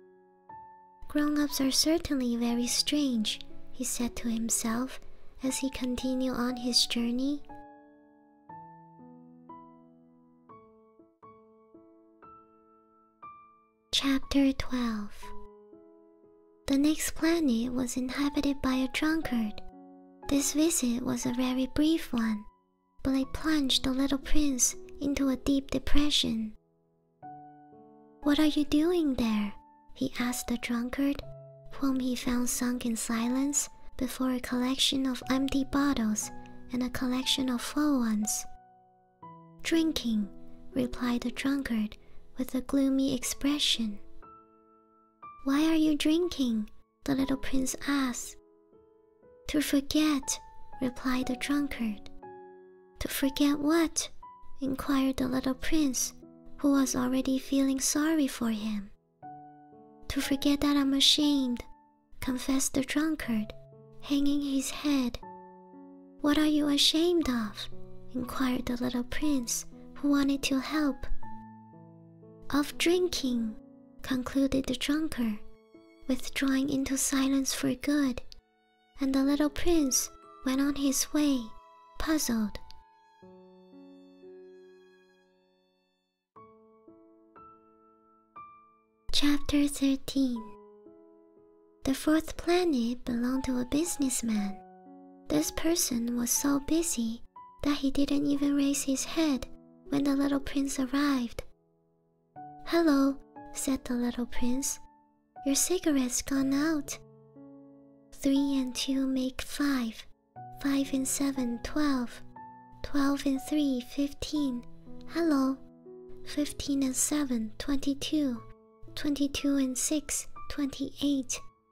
Grown ups are certainly very strange, he said to himself as he continued on his journey. Chapter 12 the next planet was inhabited by a drunkard. This visit was a very brief one, but it plunged the little prince into a deep depression. What are you doing there? he asked the drunkard, whom he found sunk in silence before a collection of empty bottles and a collection of full ones. Drinking, replied the drunkard with a gloomy expression. Why are you drinking? the little prince asked. To forget, replied the drunkard. To forget what? inquired the little prince, who was already feeling sorry for him. To forget that I'm ashamed, confessed the drunkard, hanging his head. What are you ashamed of? inquired the little prince, who wanted to help of drinking, concluded the drunkard, withdrawing into silence for good, and the little prince went on his way, puzzled. Chapter 13 The fourth planet belonged to a businessman. This person was so busy that he didn't even raise his head when the little prince arrived. Hello, said the little prince. Your cigarette's gone out. Three and two make five. Five and seven, twelve. Twelve and three, fifteen. Hello. Fifteen and seven, twenty-two. Twenty-two and six, twenty-eight.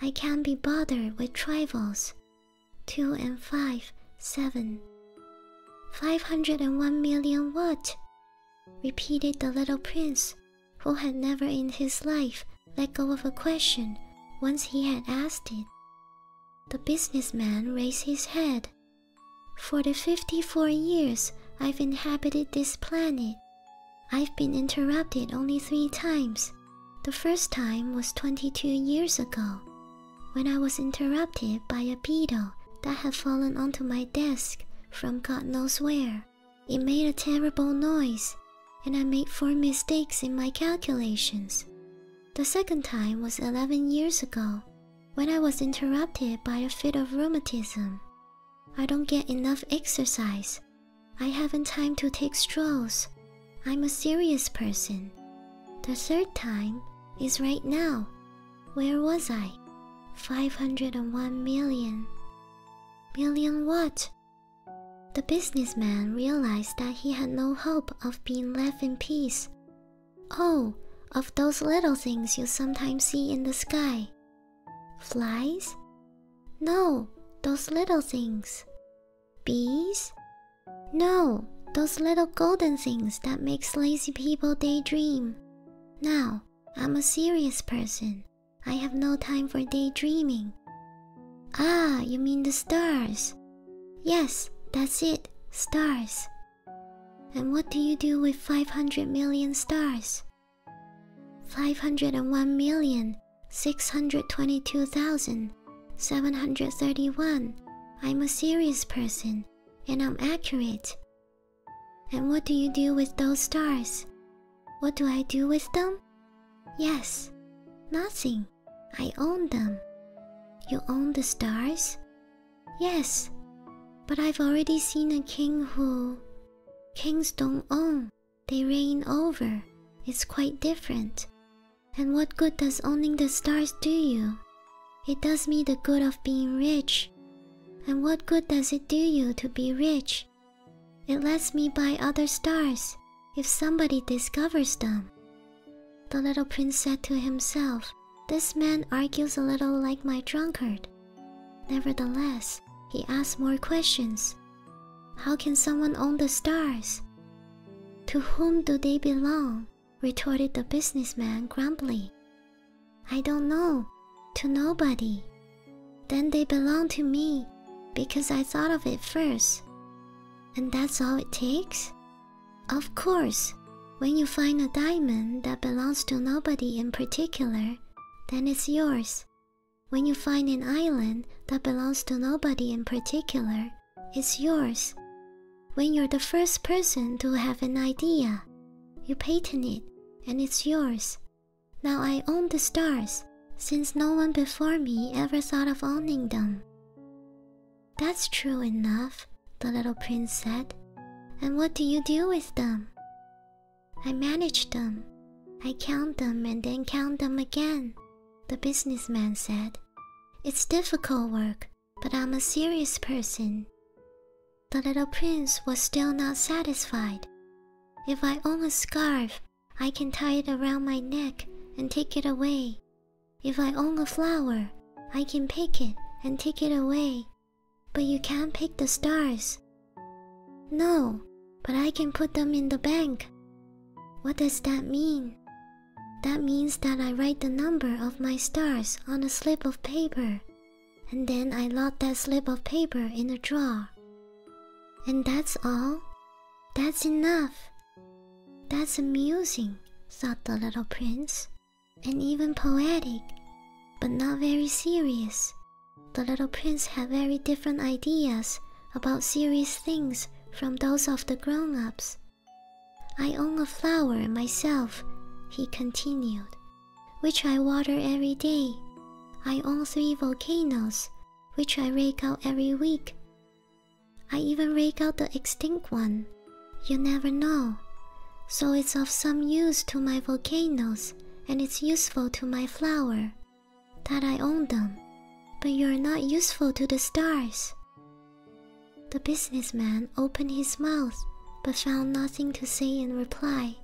I can't be bothered with trifles. 2 and five, seven, five hundred and one million what? repeated the little prince, who had never in his life let go of a question once he had asked it. The businessman raised his head. For the 54 years I've inhabited this planet, I've been interrupted only three times. The first time was 22 years ago, when I was interrupted by a beetle that had fallen onto my desk from God knows where. It made a terrible noise, and I made four mistakes in my calculations. The second time was 11 years ago, when I was interrupted by a fit of rheumatism. I don't get enough exercise, I haven't time to take strolls. I'm a serious person. The third time is right now. Where was I? 501 million. Million what? The businessman realized that he had no hope of being left in peace. Oh, of those little things you sometimes see in the sky. Flies? No, those little things. Bees? No, those little golden things that makes lazy people daydream. Now, I'm a serious person. I have no time for daydreaming. Ah, you mean the stars? Yes, that's it, stars. And what do you do with 500 million stars? 501,622,731. I'm a serious person and I'm accurate. And what do you do with those stars? What do I do with them? Yes, nothing. I own them. You own the stars? Yes, but I've already seen a king who. Kings don't own they reign over It's quite different. And what good does owning the stars do you? It does me the good of being rich. And what good does it do you to be rich? It lets me buy other stars if somebody discovers them. The little prince said to himself, This man argues a little like my drunkard. Nevertheless, he asked more questions how can someone own the stars? To whom do they belong? retorted the businessman grumpily. I don't know, to nobody. Then they belong to me because I thought of it first. And that's all it takes? Of course, when you find a diamond that belongs to nobody in particular, then it's yours, when you find an island that belongs to nobody in particular, it's yours. When you're the first person to have an idea, you patent it and it's yours. Now I own the stars, since no one before me ever thought of owning them. That's true enough, the little prince said. And what do you do with them? I manage them. I count them and then count them again, the businessman said. It's difficult work, but I'm a serious person. The little prince was still not satisfied. If I own a scarf, I can tie it around my neck and take it away. If I own a flower, I can pick it and take it away. But you can't pick the stars, no, but I can put them in the bank. What does that mean? That means that I write the number of my stars on a slip of paper, and then I lock that slip of paper in a drawer. And that's all? That's enough. That's amusing, thought the little prince, and even poetic, but not very serious, the little prince had very different ideas about serious things from those of the grown ups. I own a flower myself, he continued, which I water every day. I own three volcanoes, which I rake out every week. I even rake out the extinct one. You never know. So it's of some use to my volcanoes and it's useful to my flower that I own them, but you are not useful to the stars. The businessman opened his mouth but found nothing to say in reply,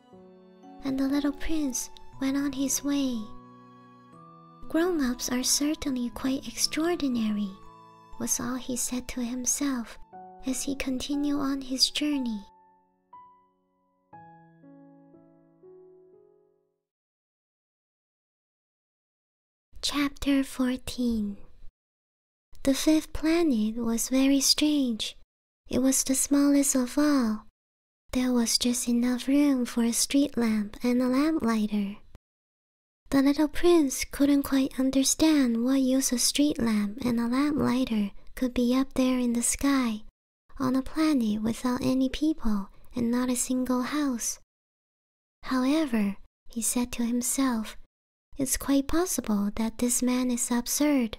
and the little prince went on his way. Grown ups are certainly quite extraordinary, was all he said to himself as he continued on his journey. Chapter 14 The fifth planet was very strange. It was the smallest of all. There was just enough room for a street lamp and a lamplighter. The little prince couldn't quite understand what use a street lamp and a lamplighter could be up there in the sky on a planet without any people and not a single house. However, he said to himself, it's quite possible that this man is absurd,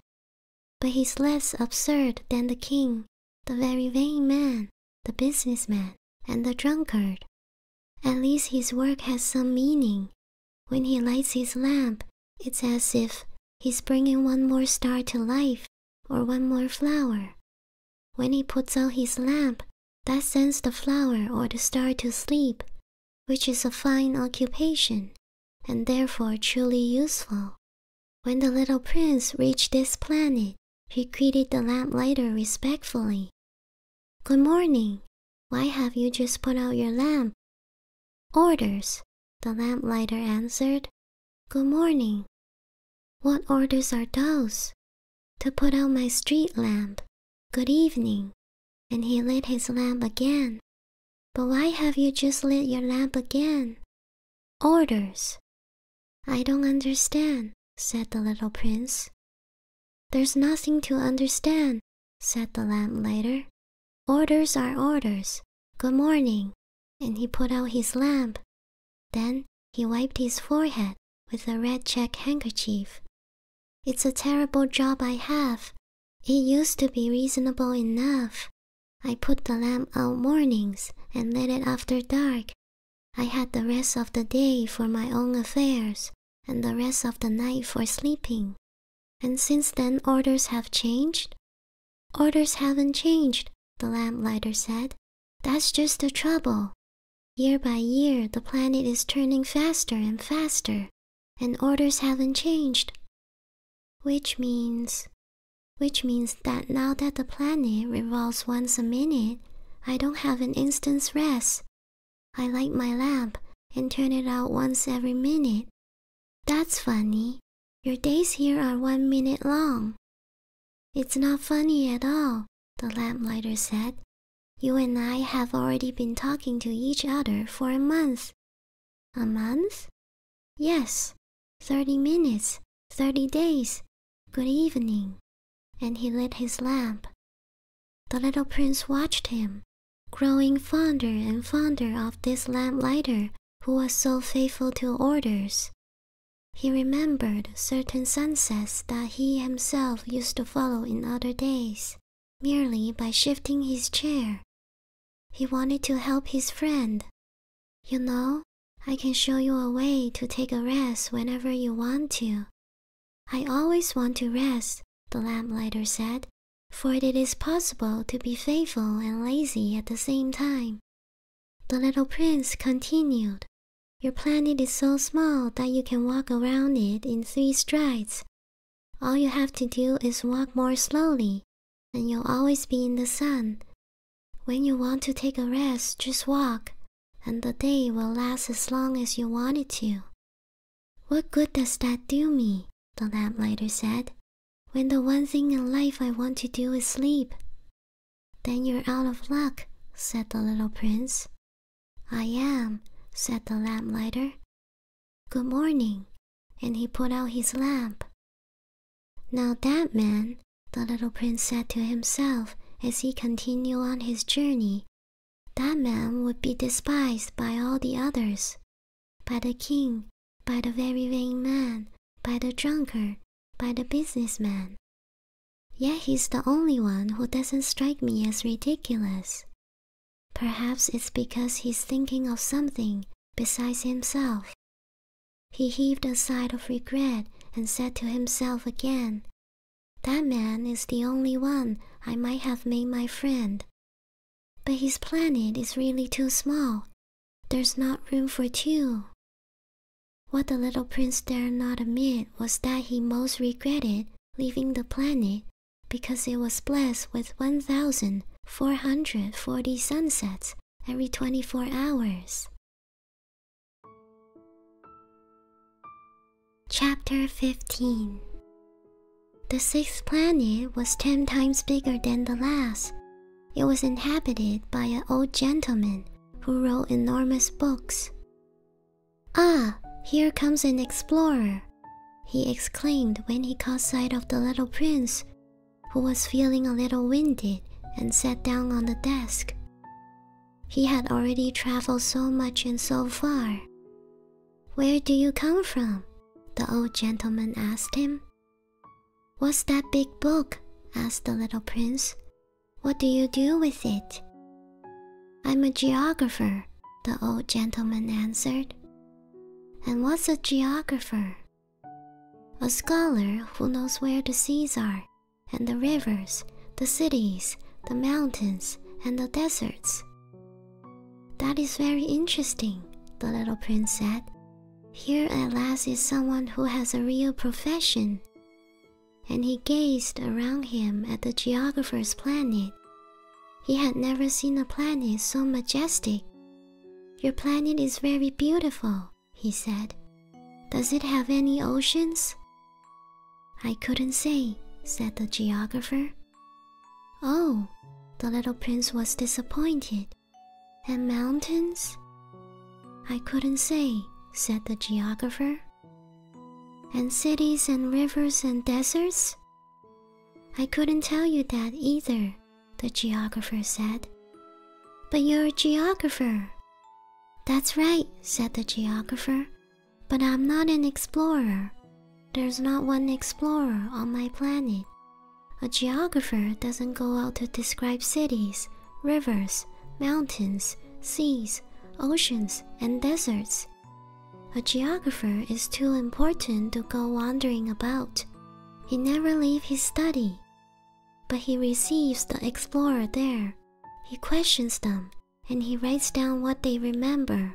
but he's less absurd than the king, the very vain man, the businessman, and the drunkard. At least his work has some meaning. When he lights his lamp, it's as if he's bringing one more star to life or one more flower. When he puts out his lamp, that sends the flower or the star to sleep, which is a fine occupation, and therefore truly useful. When the little prince reached this planet, he greeted the lamplighter respectfully. Good morning. Why have you just put out your lamp? Orders, the lamplighter answered. Good morning. What orders are those? To put out my street lamp. Good evening. And he lit his lamp again. But why have you just lit your lamp again? Orders. I don't understand, said the little prince. There's nothing to understand, said the lamplighter. Orders are orders. Good morning and he put out his lamp. Then he wiped his forehead with a red check handkerchief. It's a terrible job I have. It used to be reasonable enough. I put the lamp out mornings and lit it after dark. I had the rest of the day for my own affairs and the rest of the night for sleeping. And since then orders have changed. Orders haven't changed, the lamplighter said. That's just the trouble. Year by year, the planet is turning faster and faster, and orders haven't changed. Which means. Which means that now that the planet revolves once a minute, I don't have an instant's rest. I light my lamp and turn it out once every minute. That's funny. Your days here are one minute long, it's not funny at all, the lamplighter said. You and I have already been talking to each other for a month. A month? Yes, thirty minutes, thirty days. Good evening. And he lit his lamp. The little prince watched him, growing fonder and fonder of this lamplighter who was so faithful to orders. He remembered certain sunsets that he himself used to follow in other days, merely by shifting his chair. He wanted to help his friend. You know, I can show you a way to take a rest whenever you want to. I always want to rest, the lamplighter said, for it is possible to be faithful and lazy at the same time. The little prince continued, Your planet is so small that you can walk around it in three strides. All you have to do is walk more slowly, and you'll always be in the sun. When you want to take a rest, just walk, and the day will last as long as you want it to. What good does that do me? The lamplighter said, When the one thing in life I want to do is sleep, then you're out of luck, said the little prince. I am, said the lamplighter. Good morning, and he put out his lamp. Now that man, the little prince said to himself as he continued on his journey, that man would be despised by all the others, by the king, by the very vain man, by the drunkard, by the businessman. Yet he's the only one who doesn't strike me as ridiculous. Perhaps it's because he's thinking of something besides himself. He heaved a sigh of regret and said to himself again, That man is the only one I might have made my friend. But his planet is really too small. There's not room for two. What the little prince dared not admit was that he most regretted leaving the planet because it was blessed with 1,440 sunsets every 24 hours. Chapter 15 The sixth planet was 10 times bigger than the last. It was inhabited by an old gentleman who wrote enormous books. Ah, here comes an explorer! he exclaimed when he caught sight of the little prince, who was feeling a little winded and sat down on the desk. He had already traveled so much and so far. Where do you come from? the old gentleman asked him. What's that big book? asked the little prince, what do you do with it? I'm a geographer, the old gentleman answered. And what's a geographer? A scholar who knows where the seas are, and the rivers, the cities, the mountains, and the deserts. That is very interesting, the little prince said. Here at last is someone who has a real profession and he gazed around him at the geographer's planet. He had never seen a planet so majestic. Your planet is very beautiful, he said. Does it have any oceans? I couldn't say, said the geographer. Oh, the little prince was disappointed. And mountains? I couldn't say, said the geographer. And cities and rivers and deserts? I couldn't tell you that either, the geographer said. But you're a geographer. That's right, said the geographer. But I'm not an explorer. There's not one explorer on my planet. A geographer doesn't go out to describe cities rivers, mountains, seas, oceans, and deserts. A geographer is too important to go wandering about. He never leaves his study. But he receives the explorer there. He questions them and he writes down what they remember.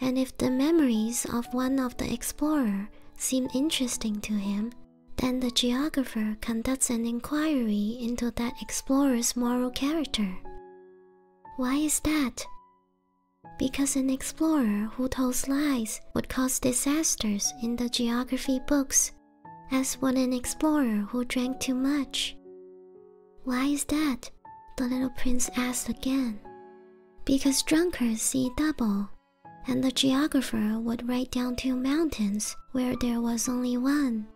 And if the memories of one of the explorer seem interesting to him, then the geographer conducts an inquiry into that explorer's moral character. Why is that? Because an explorer who tells lies would cause disasters in the geography books, as would an explorer who drank too much. Why is that? the little prince asked again. Because drunkards see double, and the geographer would write down two mountains where there was only one,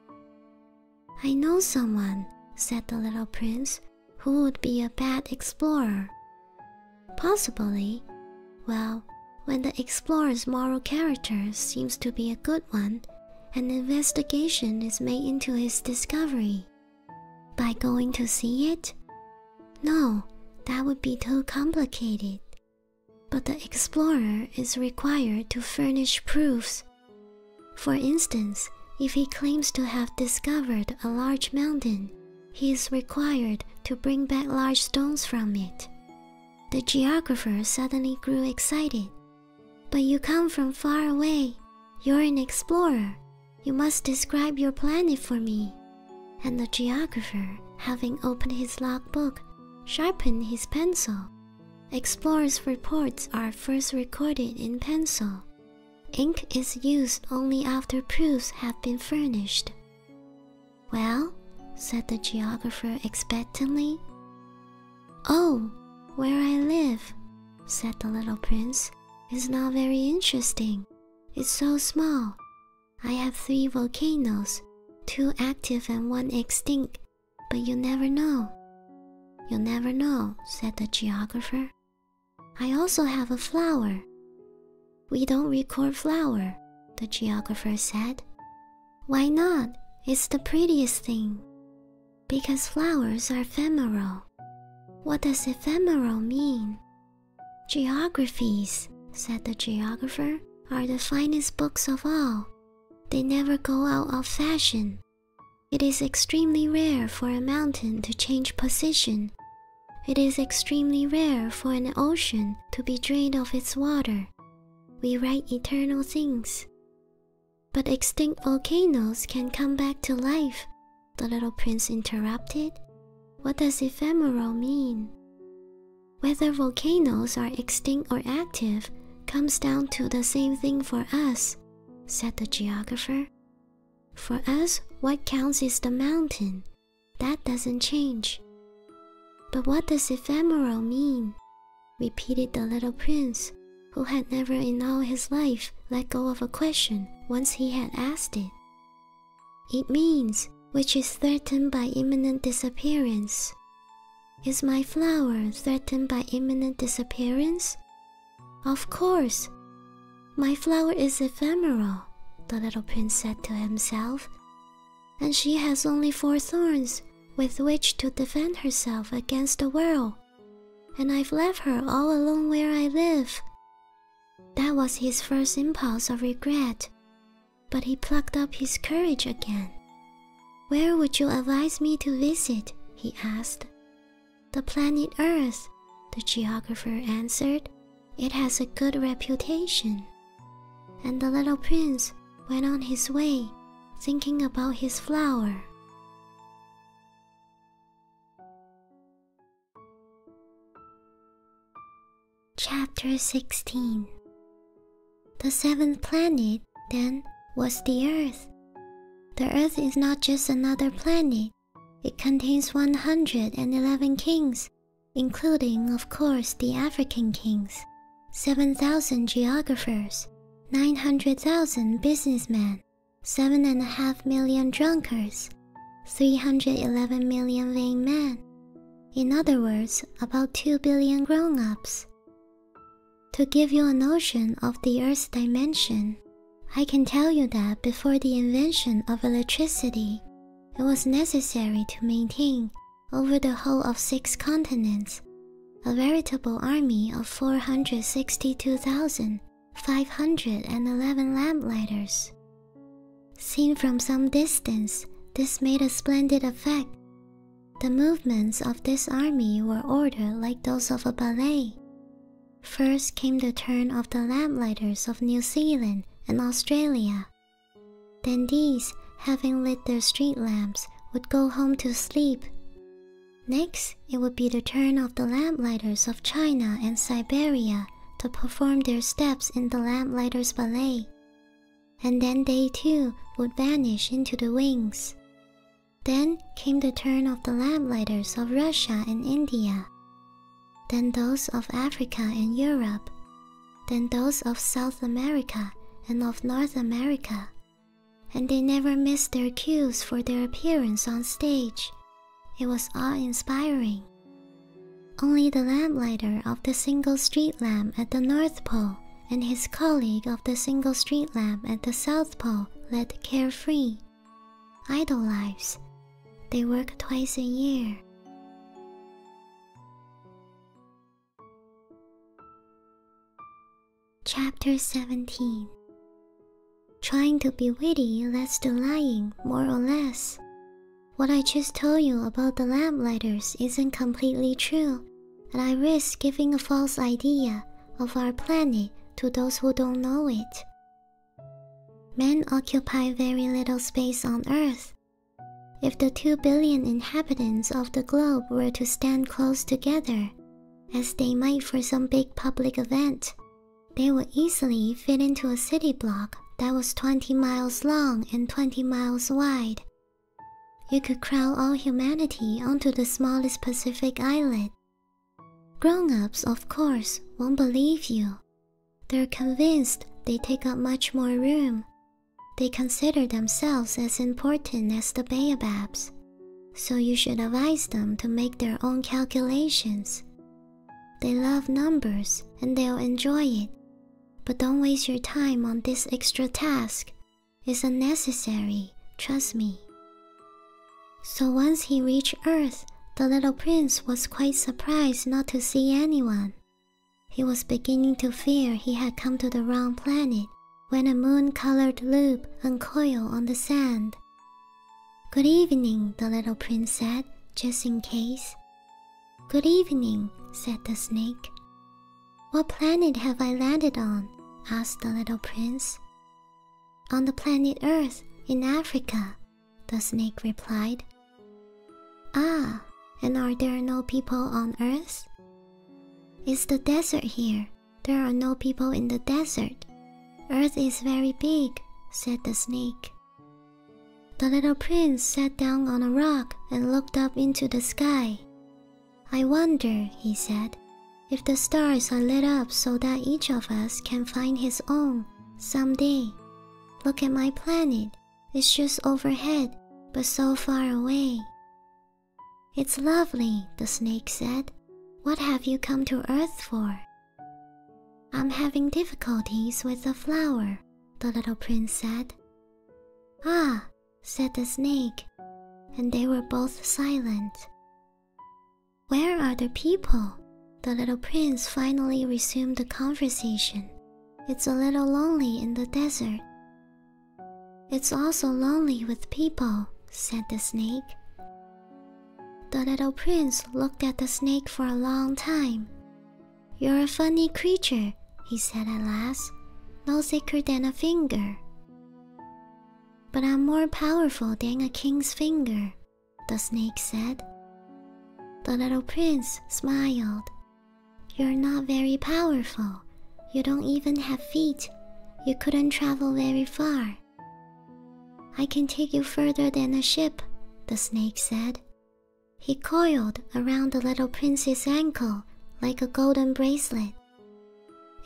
I know someone, said the little prince, who would be a bad explorer. Possibly. Well, when the explorer's moral character seems to be a good one, an investigation is made into his discovery. By going to see it? No, that would be too complicated. But the explorer is required to furnish proofs. For instance, if he claims to have discovered a large mountain, he is required to bring back large stones from it. The geographer suddenly grew excited. But you come from far away. You're an explorer. You must describe your planet for me. And the geographer, having opened his log book, sharpened his pencil Explorers' reports are first recorded in pencil. Ink is used only after proofs have been furnished. Well, said the geographer expectantly. Oh, where I live, said the little prince, is not very interesting. It's so small. I have three volcanoes, two active and one extinct, but you never know. You never know, said the geographer. I also have a flower. We don't record flower, the geographer said. Why not? It's the prettiest thing. Because flowers are ephemeral. What does ephemeral mean? Geographies, said the geographer, are the finest books of all, they never go out of fashion. It is extremely rare for a mountain to change position. It is extremely rare for an ocean to be drained of its water. We write eternal things. But extinct volcanoes can come back to life, the little prince interrupted. What does ephemeral mean? Whether volcanoes are extinct or active comes down to the same thing for us, said the geographer. For us, what counts is the mountain. That doesn't change. But what does ephemeral mean? repeated the little prince, who had never in all his life let go of a question once he had asked it. It means which is threatened by imminent disappearance. Is my flower threatened by imminent disappearance? Of course. My flower is ephemeral, the little prince said to himself, and she has only four thorns with which to defend herself against the world, and I've left her all alone where I live. That was his first impulse of regret, but he plucked up his courage again where would you advise me to visit? he asked. The planet Earth, the geographer answered. It has a good reputation. And the little prince went on his way, thinking about his flower. Chapter 16 the seventh planet, then, was the Earth. The Earth is not just another planet, it contains 111 kings, including, of course, the African kings, 7,000 geographers, 900,000 businessmen, 7.5 million drunkards, 311 million vain men. In other words, about 2 billion grown ups. To give you a notion of the Earth's dimension, I can tell you that before the invention of electricity, it was necessary to maintain, over the whole of six continents, a veritable army of 462,511 lamplighters. Seen from some distance, this made a splendid effect, the movements of this army were ordered like those of a ballet. First came the turn of the lamplighters of New Zealand and Australia. Then these, having lit their street lamps, would go home to sleep. Next, it would be the turn of the lamplighters of China and Siberia to perform their steps in the lamplighters' ballet and then they too would vanish into the wings. Then came the turn of the lamplighters of Russia and India, then those of Africa and Europe, then those of South America and of North America, and they never missed their cues for their appearance on stage. It was awe-inspiring. Only the lamplighter of the single street lamp at the North Pole and his colleague of the single street lamp at the South Pole led carefree, idle lives. They work twice a year. Chapter 17 Trying to be witty leads to lying, more or less. What I just told you about the lamplighter's isn't completely true, and I risk giving a false idea of our planet to those who don't know it. Men occupy very little space on Earth. If the 2 billion inhabitants of the globe were to stand close together, as they might for some big public event, they would easily fit into a city block that was 20 miles long and 20 miles wide you could crowd all humanity onto the smallest Pacific islet. Grown ups, of course, won't believe you. They're convinced they take up much more room. They consider themselves as important as the baobabs, so you should advise them to make their own calculations. They love numbers and they'll enjoy it, but don't waste your time on this extra task is unnecessary, trust me. So once he reached Earth, the little prince was quite surprised not to see anyone. He was beginning to fear he had come to the wrong planet when a moon colored loop uncoiled on the sand. Good evening, the little prince said, just in case. Good evening, said the snake. What planet have I landed on? asked the little prince. On the planet Earth, in Africa, the snake replied. Ah, and are there no people on Earth? It's the desert here. There are no people in the desert. Earth is very big, said the snake. The little prince sat down on a rock and looked up into the sky. I wonder, he said, if the stars are lit up so that each of us can find his own someday. Look at my planet. It's just overhead, but so far away. It's lovely, the snake said. What have you come to Earth for? I'm having difficulties with a flower, the little prince said. Ah, said the snake, and they were both silent. Where are the people? The little prince finally resumed the conversation. It's a little lonely in the desert. It's also lonely with people, said the snake. The little prince looked at the snake for a long time. You're a funny creature, he said at last, no thicker than a finger. But I'm more powerful than a king's finger, the snake said. The little prince smiled. You're not very powerful. You don't even have feet. You couldn't travel very far. I can take you further than a ship, the snake said. He coiled around the little prince's ankle like a golden bracelet.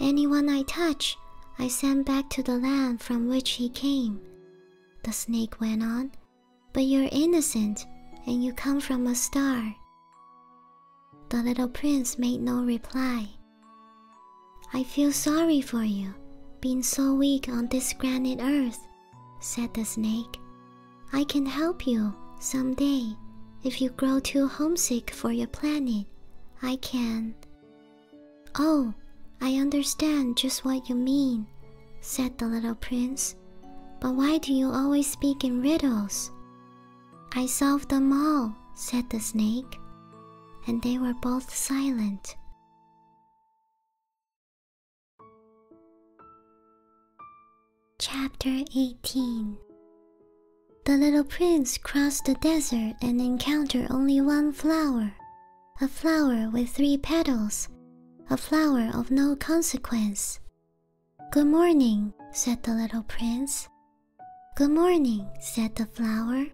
Anyone I touch, I send back to the land from which he came. The snake went on, but you're innocent and you come from a star. The little prince made no reply. I feel sorry for you, being so weak on this granite earth, said the snake. I can help you someday if you grow too homesick for your planet I can. Oh, I understand just what you mean, said the little prince. But why do you always speak in riddles? I solve them all, said the snake, and they were both silent. Chapter 18 the little prince crossed the desert and encountered only one flower a flower with three petals, a flower of no consequence. Good morning, said the little prince. Good morning, said the flower.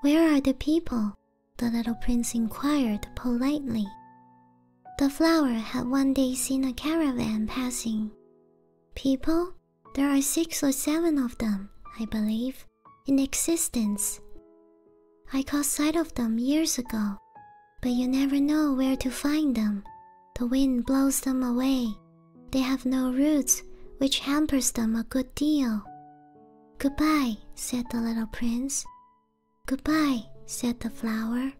Where are the people? the little prince inquired politely. The flower had one day seen a caravan passing. People? There are six or seven of them, I believe, in existence. I caught sight of them years ago, but you never know where to find them. The wind blows them away. They have no roots, which hampers them a good deal. Goodbye, said the little prince. Goodbye, said the flower.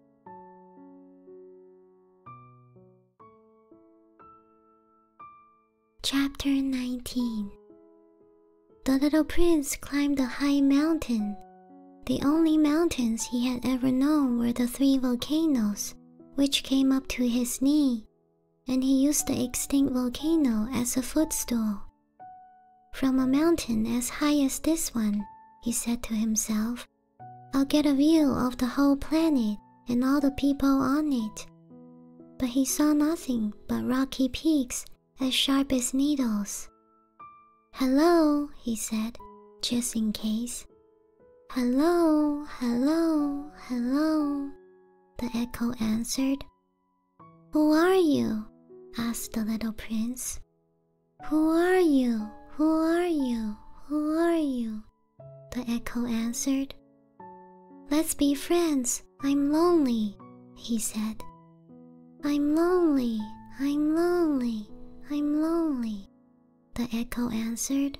Chapter 19 The little prince climbed a high mountain. The only mountains he had ever known were the three volcanoes, which came up to his knee, and he used the extinct volcano as a footstool. From a mountain as high as this one, he said to himself, I'll get a view of the whole planet and all the people on it. But he saw nothing but rocky peaks as sharp as needles. Hello, he said, just in case. Hello, hello, hello, the echo answered. Who are you? asked the little prince. Who are you? Who are you? Who are you? the echo answered. Let's be friends. I'm lonely, he said. I'm lonely, I'm lonely, I'm lonely, the echo answered.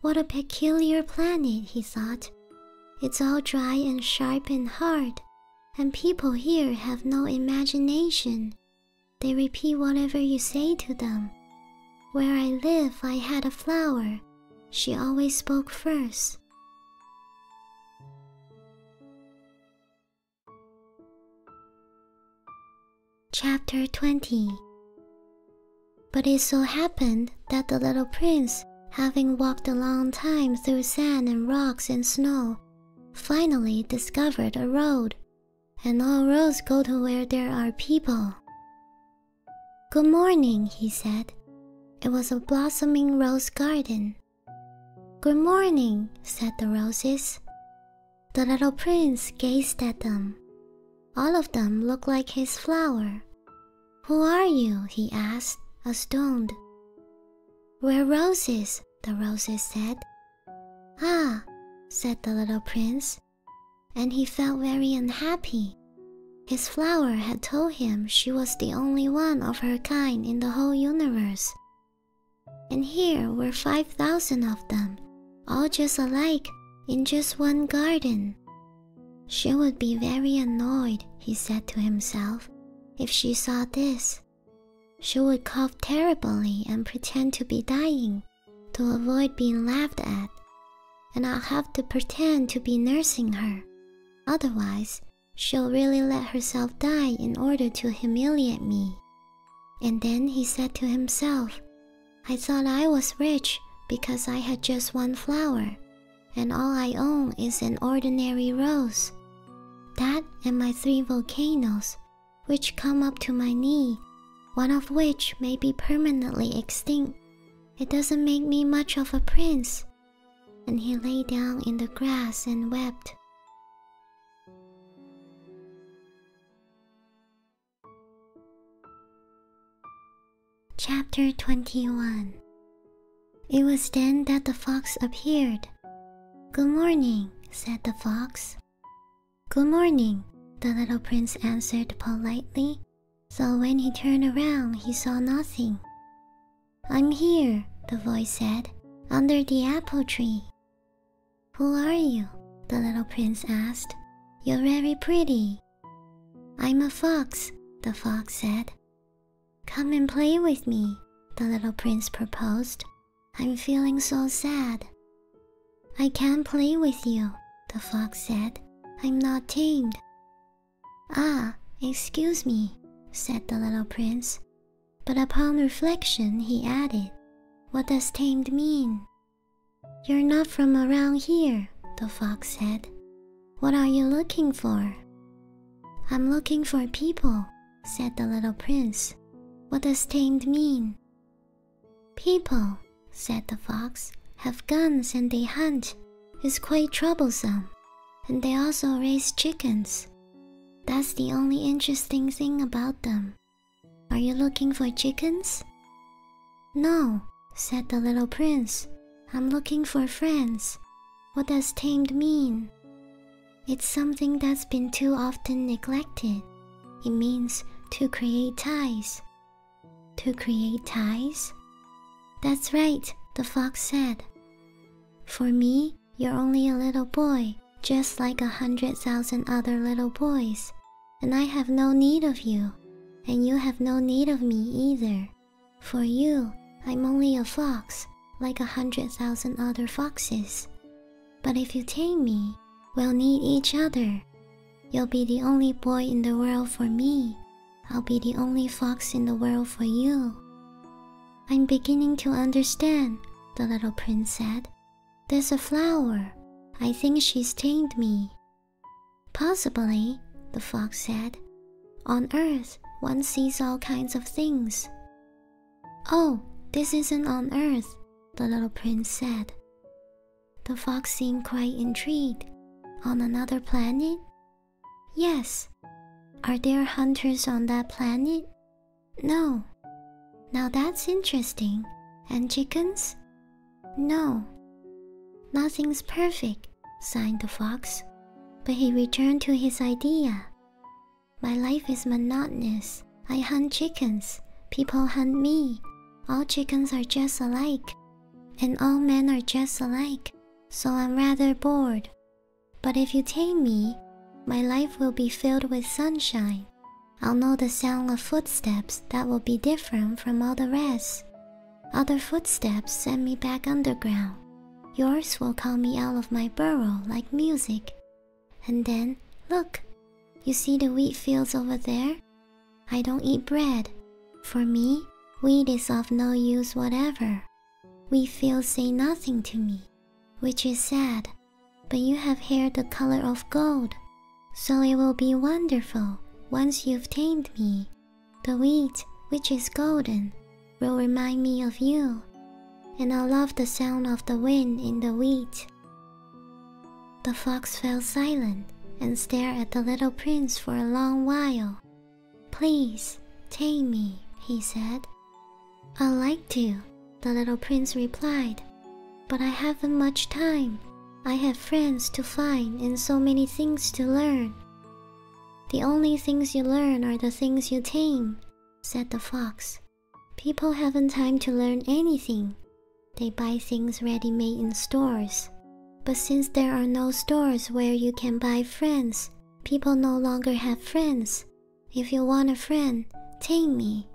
What a peculiar planet, he thought. It's all dry and sharp and hard, and people here have no imagination. They repeat whatever you say to them. Where I live, I had a flower. She always spoke first. Chapter 20 But it so happened that the little prince, having walked a long time through sand and rocks and snow, finally discovered a road, and all roads go to where there are people. Good morning, he said. It was a blossoming rose garden. Good morning, said the roses. The little prince gazed at them. All of them looked like his flower. Who are you? he asked, astounded. We're roses, the roses said. Ah, said the little prince and he felt very unhappy. His flower had told him she was the only one of her kind in the whole universe. And here were 5,000 of them, all just alike, in just one garden. She would be very annoyed, he said to himself, if she saw this. She would cough terribly and pretend to be dying to avoid being laughed at, and I'll have to pretend to be nursing her. Otherwise, she'll really let herself die in order to humiliate me. And then he said to himself, I thought I was rich because I had just one flower, and all I own is an ordinary rose. That and my three volcanoes, which come up to my knee, one of which may be permanently extinct it doesn't make me much of a prince. And he lay down in the grass and wept. Chapter 21 It was then that the fox appeared. Good morning, said the fox. Good morning, the little prince answered politely so when he turned around, he saw nothing. I'm here, the voice said, under the apple tree. Who are you? the little prince asked. You're very pretty. I'm a fox, the fox said. Come and play with me, the little prince proposed. I'm feeling so sad. I can't play with you, the fox said. I'm not tamed. Ah, excuse me, said the little prince. But upon reflection, he added, What does tamed mean? You're not from around here, the fox said. What are you looking for? I'm looking for people, said the little prince. What does tamed mean? People, said the fox, have guns and they hunt. It's quite troublesome. And they also raise chickens. That's the only interesting thing about them. Are you looking for chickens? No, said the little prince. I'm looking for friends. What does tamed mean? It's something that's been too often neglected. It means to create ties, to create ties? That's right, the fox said. For me, you're only a little boy, just like a hundred thousand other little boys, and I have no need of you, and you have no need of me either. For you, I'm only a fox, like a hundred thousand other foxes. But if you tame me, we'll need each other, You'll be the only boy in the world for me. I'll be the only fox in the world for you. I'm beginning to understand, the little prince said. There's a flower. I think she's tamed me. Possibly, the fox said. On Earth, one sees all kinds of things. Oh, this isn't on Earth, the little prince said. The fox seemed quite intrigued. On another planet? Yes. Are there hunters on that planet? No. Now that's interesting. And chickens? No. Nothing's perfect, sighed the fox. But he returned to his idea. My life is monotonous. I hunt chickens. People hunt me. All chickens are just alike. And all men are just alike, so I'm rather bored. But if you tame me, my life will be filled with sunshine. I'll know the sound of footsteps that will be different from all the rest. Other footsteps send me back underground. Yours will call me out of my burrow like music. And then, look, you see the wheat fields over there? I don't eat bread. For me, wheat is of no use whatever. We feel say nothing to me, which is sad. But you have hair the color of gold, so it will be wonderful once you've tamed me. The wheat, which is golden, will remind me of you, and I will love the sound of the wind in the wheat. The fox fell silent and stare at the little prince for a long while. Please, take me, he said. I'd like to, the little prince replied, but I haven't much time. I have friends to find and so many things to learn. The only things you learn are the things you tame, said the fox. People haven't time to learn anything. They buy things ready made in stores but since there are no stores where you can buy friends, people no longer have friends. If you want a friend, take me.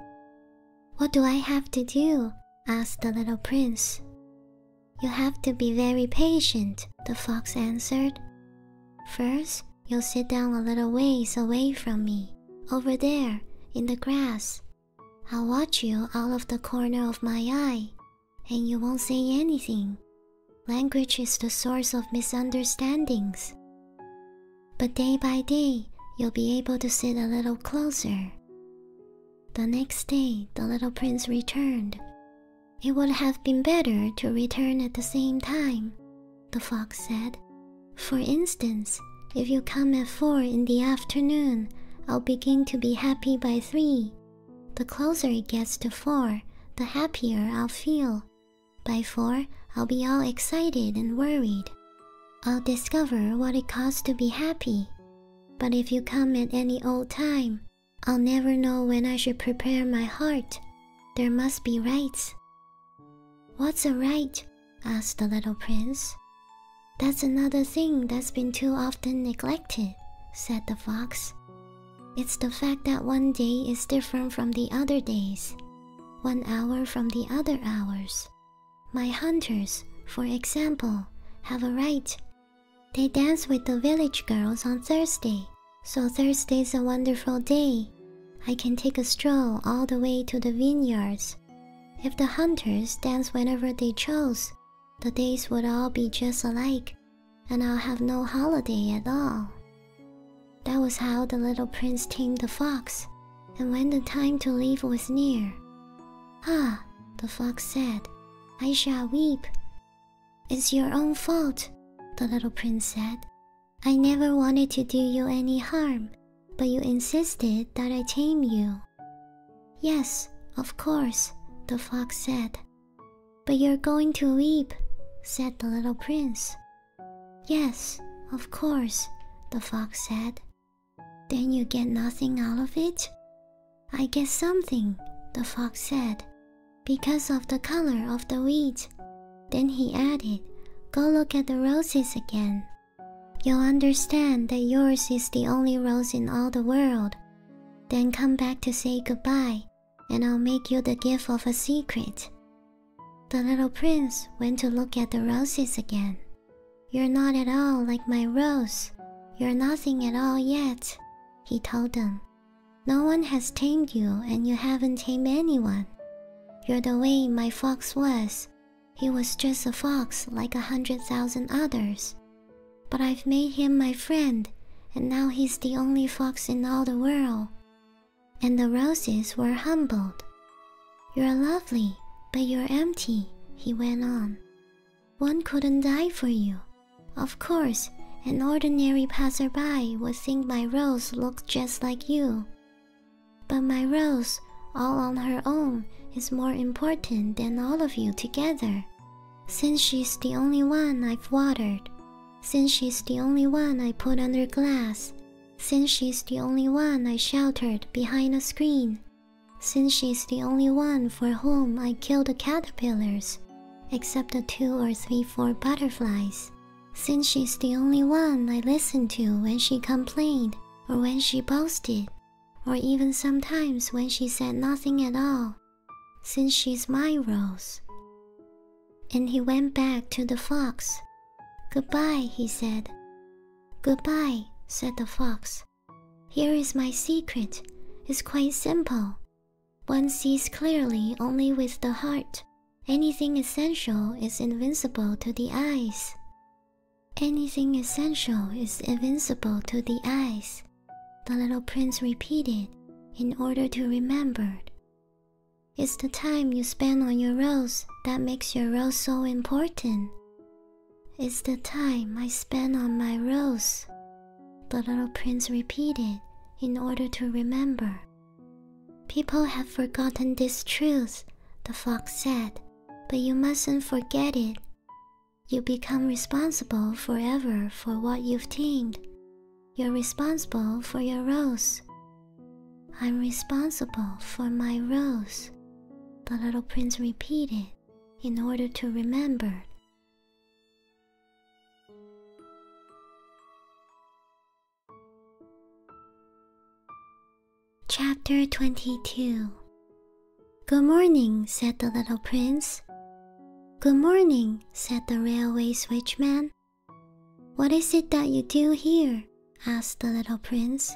What do I have to do? asked the little prince. You have to be very patient, the fox answered. First, you'll sit down a little ways away from me, over there, in the grass. I'll watch you out of the corner of my eye, and you won't say anything. Language is the source of misunderstandings. But day by day, you'll be able to sit a little closer. The next day, the little prince returned. It would have been better to return at the same time, the fox said. For instance, if you come at four in the afternoon, I'll begin to be happy by three the closer it gets to four, the happier I'll feel. By four, I'll be all excited and worried. I'll discover what it costs to be happy. But if you come at any old time, I'll never know when I should prepare my heart. There must be rites. What's a right? asked the little prince. That's another thing that's been too often neglected said the fox. It's the fact that one day is different from the other days, one hour from the other hours. My hunters, for example, have a right. They dance with the village girls on Thursday, so Thursday's a wonderful day. I can take a stroll all the way to the vineyards. If the hunters dance whenever they chose, the days would all be just alike and I'll have no holiday at all. That was how the little prince tamed the fox, and when the time to leave was near. Ah, the fox said, I shall weep. It's your own fault, the little prince said. I never wanted to do you any harm, but you insisted that I tame you. Yes, of course, the fox said. But you're going to weep, said the little prince. Yes, of course, the fox said. Then you get nothing out of it? I get something, the fox said, because of the color of the wheat. Then he added, Go look at the roses again. You'll understand that yours is the only rose in all the world, then come back to say goodbye, and I'll make you the gift of a secret. The little prince went to look at the roses again. You're not at all like my rose. You're nothing at all yet, he told them. No one has tamed you, and you haven't tamed anyone. You're the way my fox was. He was just a fox like a hundred thousand others. But I've made him my friend, and now he's the only fox in all the world. And the roses were humbled. You're lovely, but you're empty, he went on. One couldn't die for you. Of course, an ordinary passerby would think my rose looked just like you. But my rose, all on her own, is more important than all of you together, since she's the only one I've watered, since she's the only one I put under glass, since she's the only one I sheltered behind a screen, since she's the only one for whom I killed the caterpillars, except the two or three for butterflies, since she's the only one I listened to when she complained or when she boasted, or even sometimes when she said nothing at all since she is my rose. And he went back to the fox. Goodbye, he said. Goodbye, said the fox. Here is my secret. It's quite simple. One sees clearly only with the heart. Anything essential is invincible to the eyes. Anything essential is invincible to the eyes the little prince repeated in order to remember. It's the time you spend on your rose that makes your rose so important. It's the time I spend on my rose, the little prince repeated in order to remember. People have forgotten this truth, the fox said, but you mustn't forget it. You become responsible forever for what you've tamed. You're responsible for your rose. I'm responsible for my rose, the little prince repeated in order to remember. Chapter 22 Good morning, said the little prince. Good morning, said the railway switchman. What is it that you do here? asked the little prince.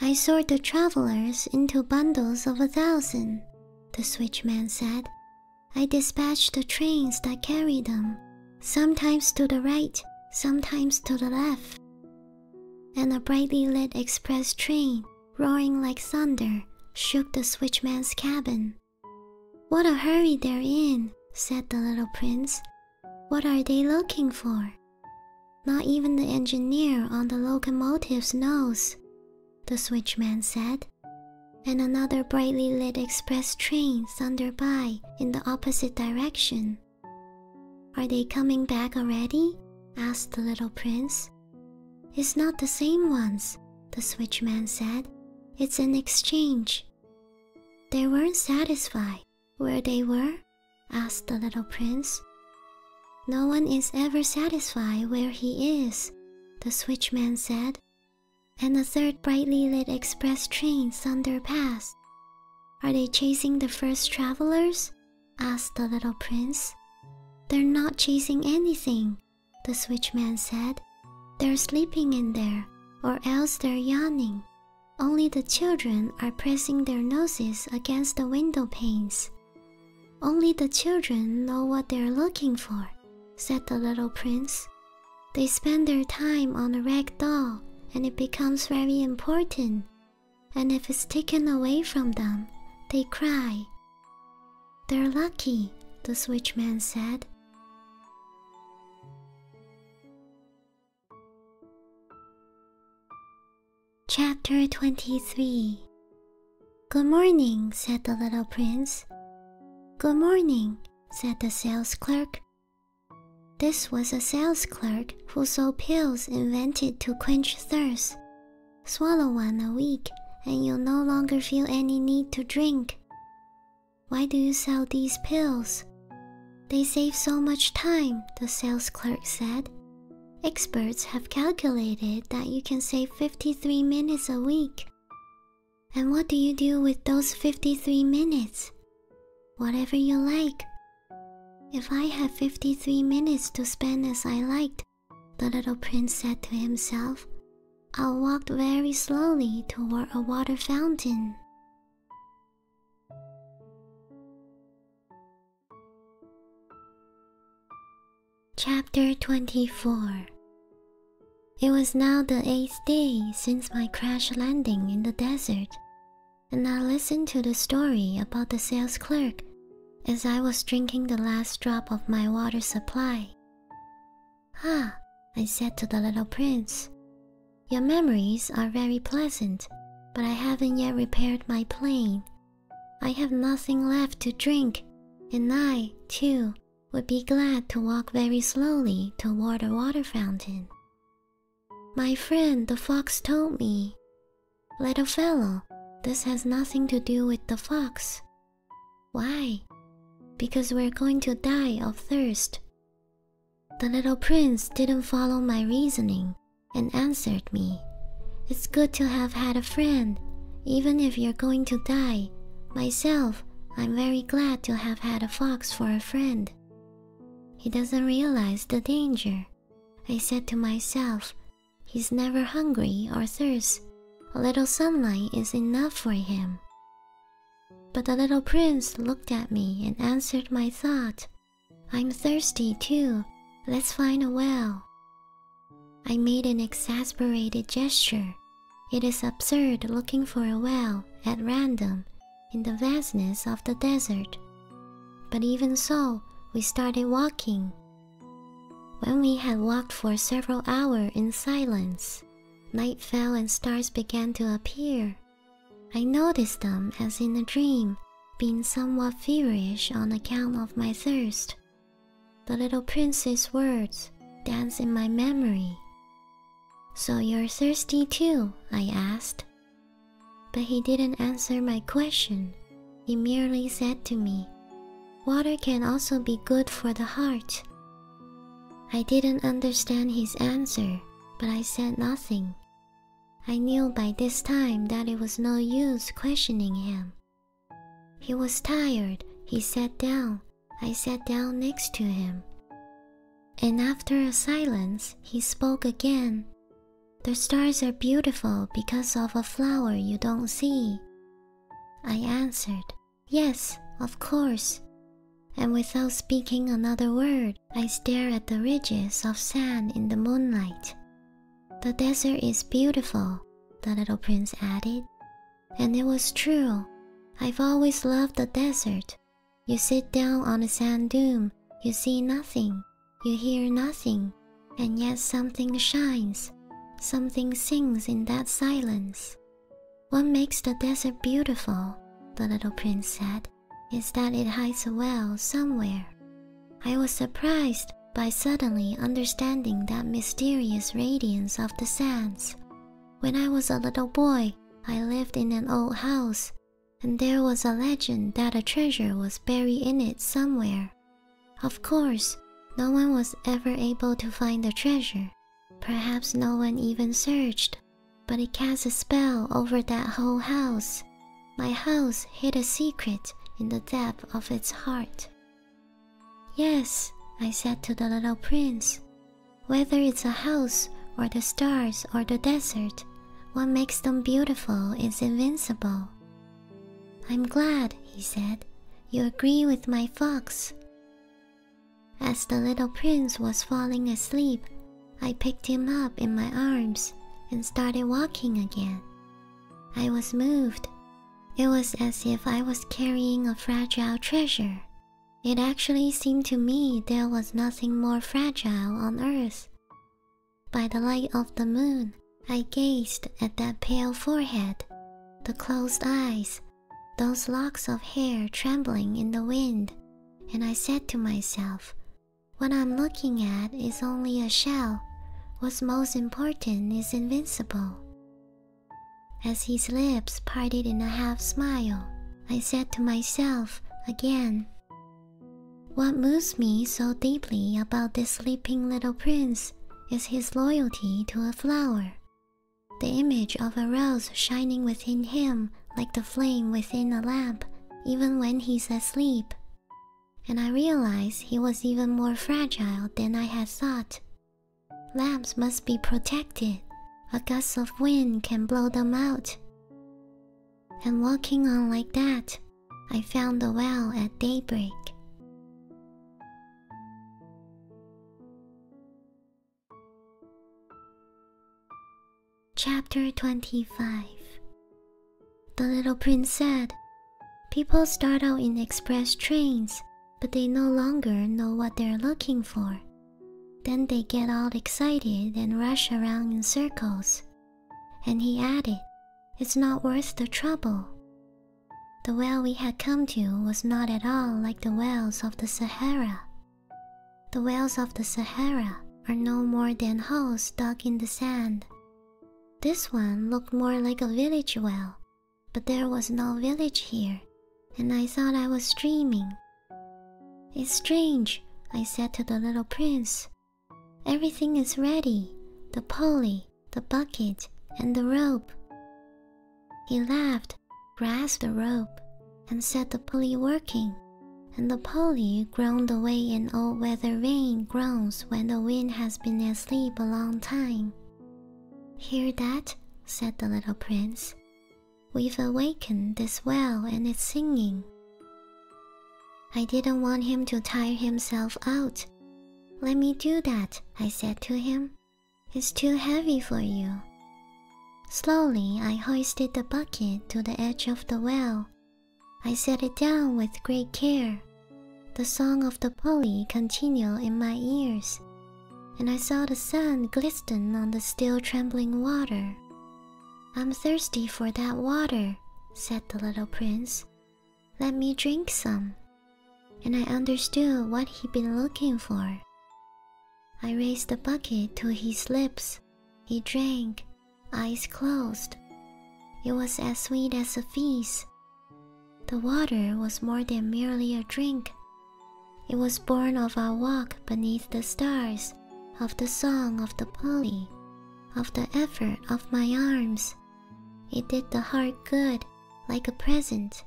I sort the travelers into bundles of a thousand, the switchman said. I dispatch the trains that carry them, sometimes to the right, sometimes to the left. And a brightly lit express train, roaring like thunder, shook the switchman's cabin. What a hurry they're in, said the little prince. What are they looking for? Not even the engineer on the locomotives knows, the switchman said. And another brightly lit express train thundered by in the opposite direction. Are they coming back already? asked the little prince. It's not the same ones, the switchman said. It's an exchange. They weren't satisfied where they were? asked the little prince. No one is ever satisfied where he is, the switchman said. And the third brightly lit express train thundered past. Are they chasing the first travelers? asked the little prince. They're not chasing anything, the switchman said. They're sleeping in there, or else they're yawning. Only the children are pressing their noses against the window panes. Only the children know what they're looking for, said the little prince. They spend their time on a rag doll, and it becomes very important. And if it's taken away from them, they cry they're lucky, the switchman said. Chapter 23 Good morning, said the little prince. Good morning, said the sales clerk. This was a sales clerk who sold pills invented to quench thirst. Swallow one a week and you'll no longer feel any need to drink. Why do you sell these pills? They save so much time, the sales clerk said. Experts have calculated that you can save 53 minutes a week. And what do you do with those 53 minutes? Whatever you like. If I had 53 minutes to spend as I liked, the little prince said to himself. I walked very slowly toward a water fountain. Chapter 24 It was now the eighth day since my crash landing in the desert, and I listened to the story about the sales clerk as I was drinking the last drop of my water supply. Ah, I said to the little prince, your memories are very pleasant, but I haven't yet repaired my plane. I have nothing left to drink, and I, too, would be glad to walk very slowly toward a water fountain. My friend the fox told me, Little fellow, this has nothing to do with the fox, why? Because we're going to die of thirst. The little prince didn't follow my reasoning and answered me. It's good to have had a friend, even if you're going to die. Myself, I'm very glad to have had a fox for a friend. He doesn't realize the danger. I said to myself, he's never hungry or thirsts a little sunlight is enough for him. But the little prince looked at me and answered my thought. I'm thirsty too. Let's find a well. I made an exasperated gesture. It is absurd looking for a well at random in the vastness of the desert. But even so, we started walking. When we had walked for several hours in silence, Night fell and stars began to appear. I noticed them as in a dream, being somewhat feverish on account of my thirst. The little prince's words dance in my memory. So you're thirsty too? I asked. But he didn't answer my question. He merely said to me, Water can also be good for the heart. I didn't understand his answer, but I said nothing. I knew by this time that it was no use questioning him. He was tired, he sat down, I sat down next to him. And after a silence, he spoke again. The stars are beautiful because of a flower you don't see. I answered, Yes, of course. And without speaking another word, I stare at the ridges of sand in the moonlight. The desert is beautiful, the little prince added. And it was true. I've always loved the desert. You sit down on a sand dune, you see nothing, you hear nothing, and yet something shines, something sings in that silence. What makes the desert beautiful, the little prince said, is that it hides a well somewhere. I was surprised by suddenly understanding that mysterious radiance of the sands. When I was a little boy, I lived in an old house, and there was a legend that a treasure was buried in it somewhere. Of course, no one was ever able to find the treasure, Perhaps no one even searched, but it cast a spell over that whole house. My house hid a secret in the depth of its heart. Yes, I said to the little prince, whether it's a house or the stars or the desert, what makes them beautiful is invincible. I'm glad, he said, you agree with my fox. As the little prince was falling asleep, I picked him up in my arms and started walking again. I was moved. It was as if I was carrying a fragile treasure. It actually seemed to me there was nothing more fragile on earth. By the light of the moon, I gazed at that pale forehead, the closed eyes, those locks of hair trembling in the wind, and I said to myself, What I'm looking at is only a shell. What's most important is invincible. As his lips parted in a half smile, I said to myself again, What moves me so deeply about this sleeping little prince is his loyalty to a flower. The image of a rose shining within him like the flame within a lamp, even when he's asleep. And I realized he was even more fragile than I had thought. Lamps must be protected. A gust of wind can blow them out. And walking on like that, I found the well at daybreak. Chapter 25 The little prince said, People start out in express trains, but they no longer know what they're looking for. Then they get all excited and rush around in circles. And he added, It's not worth the trouble. The well we had come to was not at all like the wells of the Sahara. The wells of the Sahara are no more than holes dug in the sand. This one looked more like a village well, but there was no village here, and I thought I was dreaming. It's strange, I said to the little prince. Everything is ready the pulley, the bucket, and the rope. He laughed, grasped the rope, and set the pulley working, and the pulley groaned away in an old weather vane groans when the wind has been asleep a long time. Hear that? said the little prince. We've awakened this well and it's singing. I didn't want him to tire himself out. Let me do that, I said to him, it's too heavy for you. Slowly, I hoisted the bucket to the edge of the well. I set it down with great care. The song of the pulley continued in my ears, and I saw the sun glisten on the still trembling water. I'm thirsty for that water, said the little prince. Let me drink some. And I understood what he'd been looking for. I raised the bucket to his lips. He drank, eyes closed. It was as sweet as a feast. The water was more than merely a drink. It was born of our walk beneath the stars, of the song of the pulley, of the effort of my arms. It did the heart good, like a present,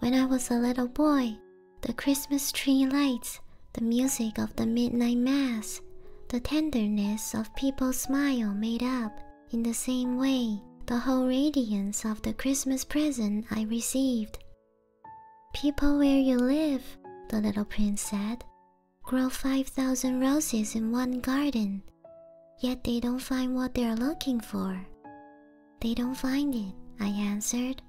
when I was a little boy, the Christmas tree lights, the music of the midnight mass, the tenderness of people's smile made up, in the same way, the whole radiance of the Christmas present I received. People where you live, the little prince said, grow 5,000 roses in one garden, yet they don't find what they're looking for. They don't find it, I answered.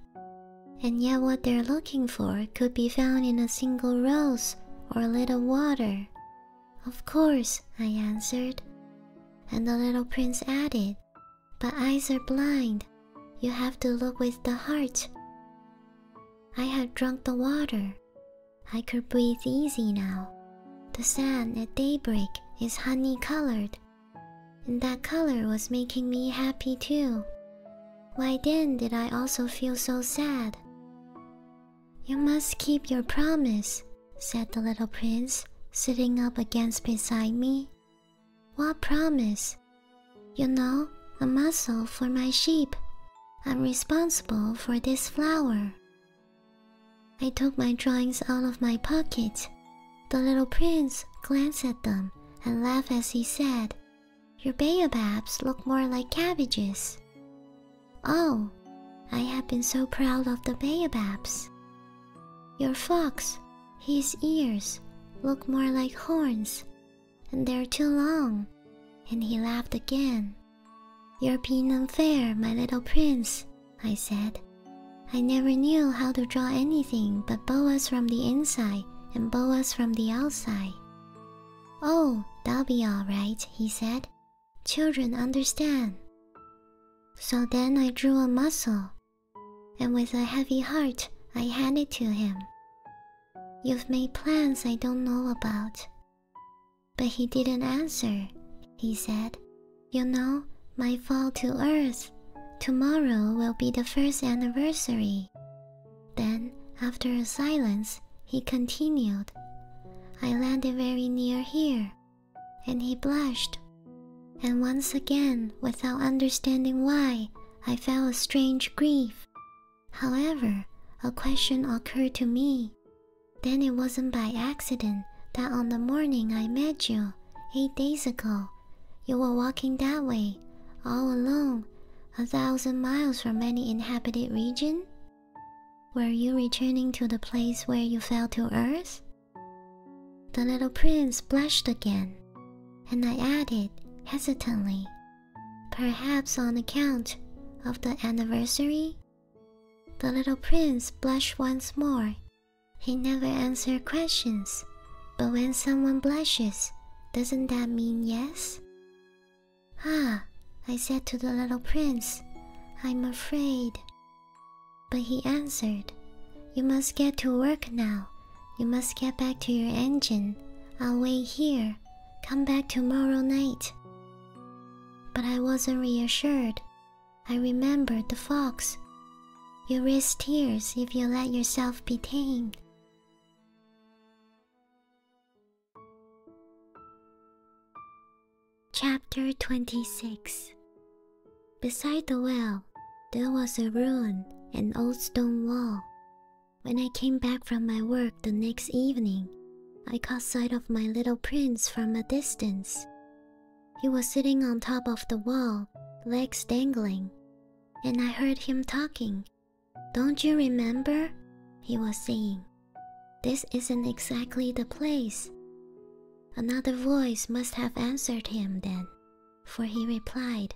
And yet, what they're looking for could be found in a single rose or a little water. Of course, I answered. And the little prince added, But eyes are blind. You have to look with the heart. I had drunk the water. I could breathe easy now. The sand at daybreak is honey colored, and that color was making me happy too. Why then did I also feel so sad? You must keep your promise, said the little prince, sitting up against beside me. What promise? You know, a muzzle for my sheep. I'm responsible for this flower. I took my drawings out of my pocket the little prince glanced at them and laughed as he said, Your baobabs look more like cabbages. Oh, I have been so proud of the baobabs. Your fox, his ears look more like horns, and they're too long. And he laughed again. You're being unfair, my little prince, I said. I never knew how to draw anything but boas from the inside and boas from the outside. Oh, that'll be all right, he said. Children understand. So then I drew a mussel, and with a heavy heart I handed to him. You've made plans I don't know about. But he didn't answer, he said, you know, my fall to earth. Tomorrow will be the first anniversary. Then, after a silence, he continued. I landed very near here. And he blushed. And once again, without understanding why, I felt a strange grief. However, a question occurred to me. Then it wasn't by accident that on the morning I met you, eight days ago, you were walking that way, all alone, a thousand miles from any inhabited region? Were you returning to the place where you fell to earth? The little prince blushed again, and I added hesitantly, Perhaps on account of the anniversary? The little prince blushed once more he never answers questions, but when someone blushes, doesn't that mean yes? Ah, I said to the little prince, I'm afraid. But he answered, You must get to work now. You must get back to your engine. I'll wait here. Come back tomorrow night. But I wasn't reassured. I remembered the fox, you risk tears if you let yourself be tamed. Chapter 26 Beside the well, there was a ruin, an old stone wall. When I came back from my work the next evening, I caught sight of my little prince from a distance. He was sitting on top of the wall, legs dangling, and I heard him talking. Don't you remember? He was saying. This isn't exactly the place. Another voice must have answered him then, for he replied,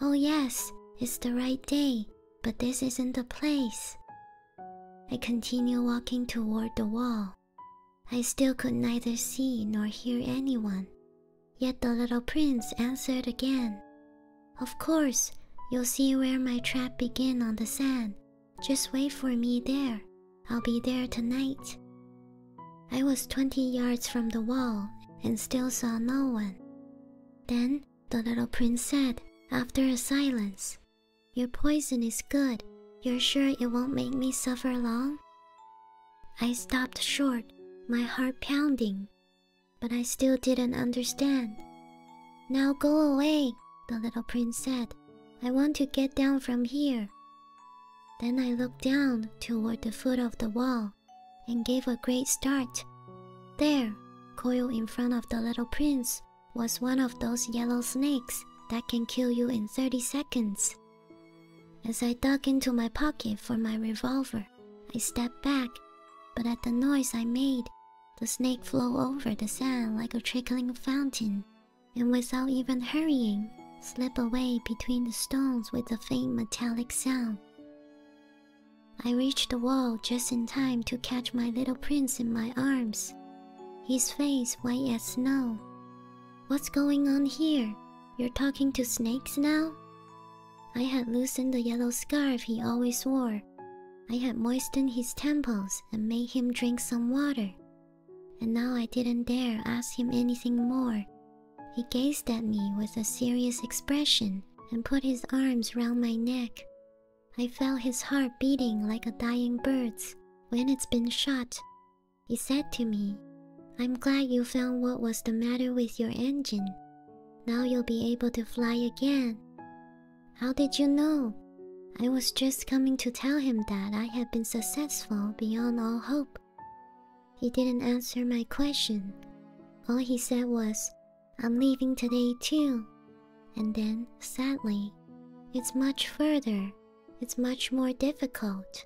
Oh, yes, it's the right day, but this isn't the place. I continued walking toward the wall. I still could neither see nor hear anyone. Yet the little prince answered again, Of course, you'll see where my trap begin on the sand. Just wait for me there. I'll be there tonight. I was twenty yards from the wall and still saw no one. Then the little prince said, after a silence, Your poison is good. You're sure it won't make me suffer long? I stopped short, my heart pounding, but I still didn't understand. Now go away, the little prince said. I want to get down from here. Then I looked down toward the foot of the wall and gave a great start. There, coiled in front of the little prince, was one of those yellow snakes that can kill you in 30 seconds. As I dug into my pocket for my revolver, I stepped back, but at the noise I made, the snake flew over the sand like a trickling fountain, and without even hurrying, slipped away between the stones with a faint metallic sound. I reached the wall just in time to catch my little prince in my arms, his face white as snow. What's going on here? You're talking to snakes now? I had loosened the yellow scarf he always wore. I had moistened his temples and made him drink some water. And now I didn't dare ask him anything more. He gazed at me with a serious expression and put his arms round my neck. I felt his heart beating like a dying bird's when it's been shot. He said to me, I'm glad you found what was the matter with your engine. Now you'll be able to fly again. How did you know? I was just coming to tell him that I had been successful beyond all hope. He didn't answer my question. All he said was, I'm leaving today too. And then, sadly, it's much further, it's much more difficult.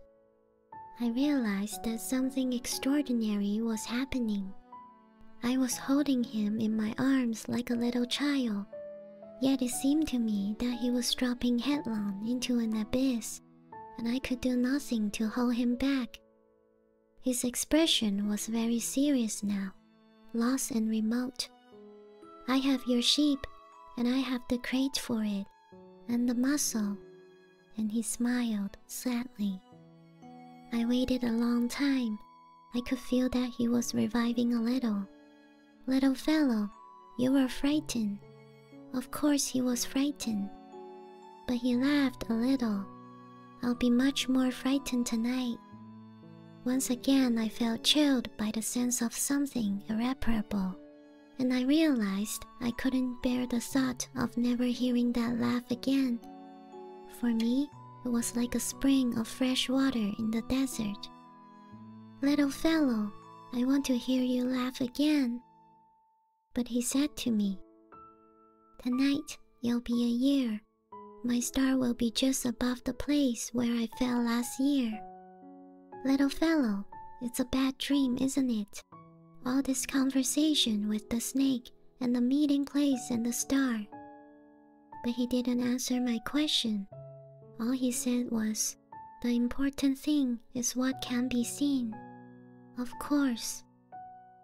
I realized that something extraordinary was happening. I was holding him in my arms like a little child, yet it seemed to me that he was dropping headlong into an abyss, and I could do nothing to hold him back. His expression was very serious now, lost and remote. I have your sheep, and I have the crate for it, and the muzzle, and he smiled sadly. I waited a long time. I could feel that he was reviving a little. Little fellow, you were frightened. Of course, he was frightened. But he laughed a little. I'll be much more frightened tonight. Once again, I felt chilled by the sense of something irreparable and I realized I couldn't bear the thought of never hearing that laugh again. For me, it was like a spring of fresh water in the desert. Little fellow, I want to hear you laugh again. But he said to me, Tonight you'll be a year. My star will be just above the place where I fell last year. Little fellow, it's a bad dream, isn't it? All this conversation with the snake and the meeting place and the star. But he didn't answer my question. All he said was, The important thing is what can be seen. Of course.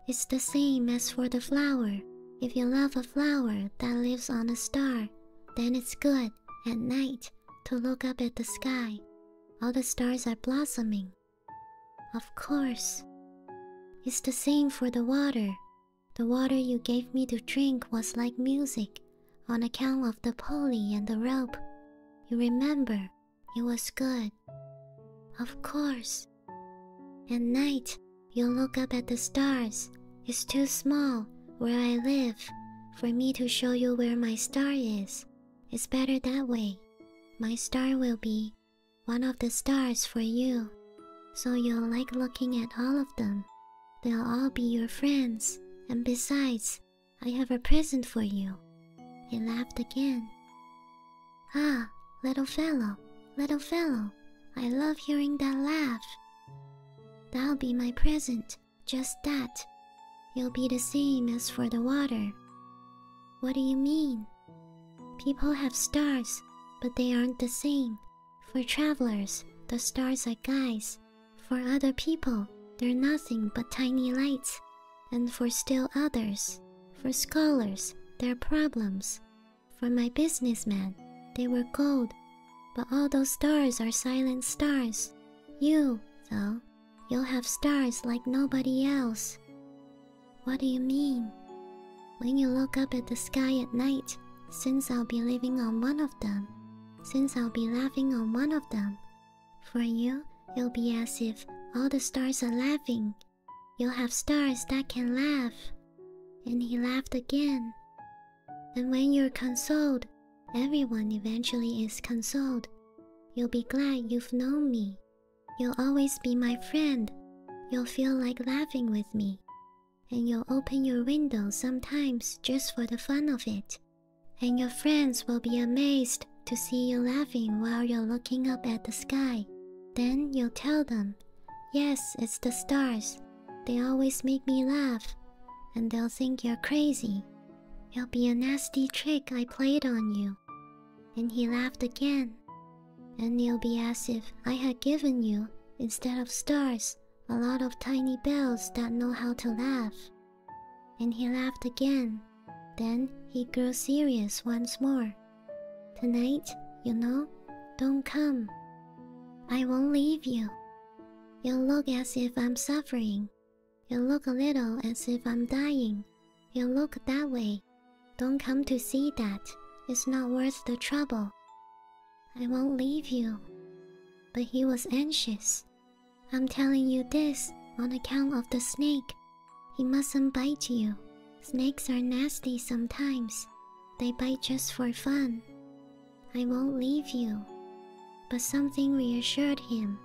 It's the same as for the flower. If you love a flower that lives on a star, then it's good, at night, to look up at the sky. All the stars are blossoming, of course. It's the same for the water. The water you gave me to drink was like music on account of the pulley and the rope. You remember, it was good. Of course. At night, you will look up at the stars. It's too small where I live for me to show you where my star is. It's better that way. My star will be one of the stars for you, so you'll like looking at all of them. They'll all be your friends, and besides, I have a present for you. He laughed again. Ah, little fellow, little fellow, I love hearing that laugh. That'll be my present, just that. You'll be the same as for the water. What do you mean? People have stars, but they aren't the same. For travelers, the stars are guides. For other people, they're nothing but tiny lights. And for still others, for scholars, they're problems. For my businessman, they were gold. But all those stars are silent stars. You, though, You'll have stars like nobody else. What do you mean? When you look up at the sky at night, since I'll be living on one of them, since I'll be laughing on one of them, for you, it'll be as if all the stars are laughing. You'll have stars that can laugh. And he laughed again. And when you're consoled, everyone eventually is consoled. You'll be glad you've known me, You'll always be my friend. You'll feel like laughing with me. And you'll open your window sometimes just for the fun of it. And your friends will be amazed to see you laughing while you're looking up at the sky. Then you'll tell them, Yes, it's the stars. They always make me laugh. And they'll think you're crazy. It'll be a nasty trick I played on you. And he laughed again, and you will be as if I had given you, instead of stars, a lot of tiny bells that know how to laugh. And he laughed again. Then he grew serious once more. Tonight, you know, don't come. I won't leave you. You'll look as if I'm suffering. You'll look a little as if I'm dying, you look that way. Don't come to see that. It's not worth the trouble. I won't leave you. But he was anxious. I'm telling you this on account of the snake. He mustn't bite you. Snakes are nasty sometimes. They bite just for fun. I won't leave you. But something reassured him.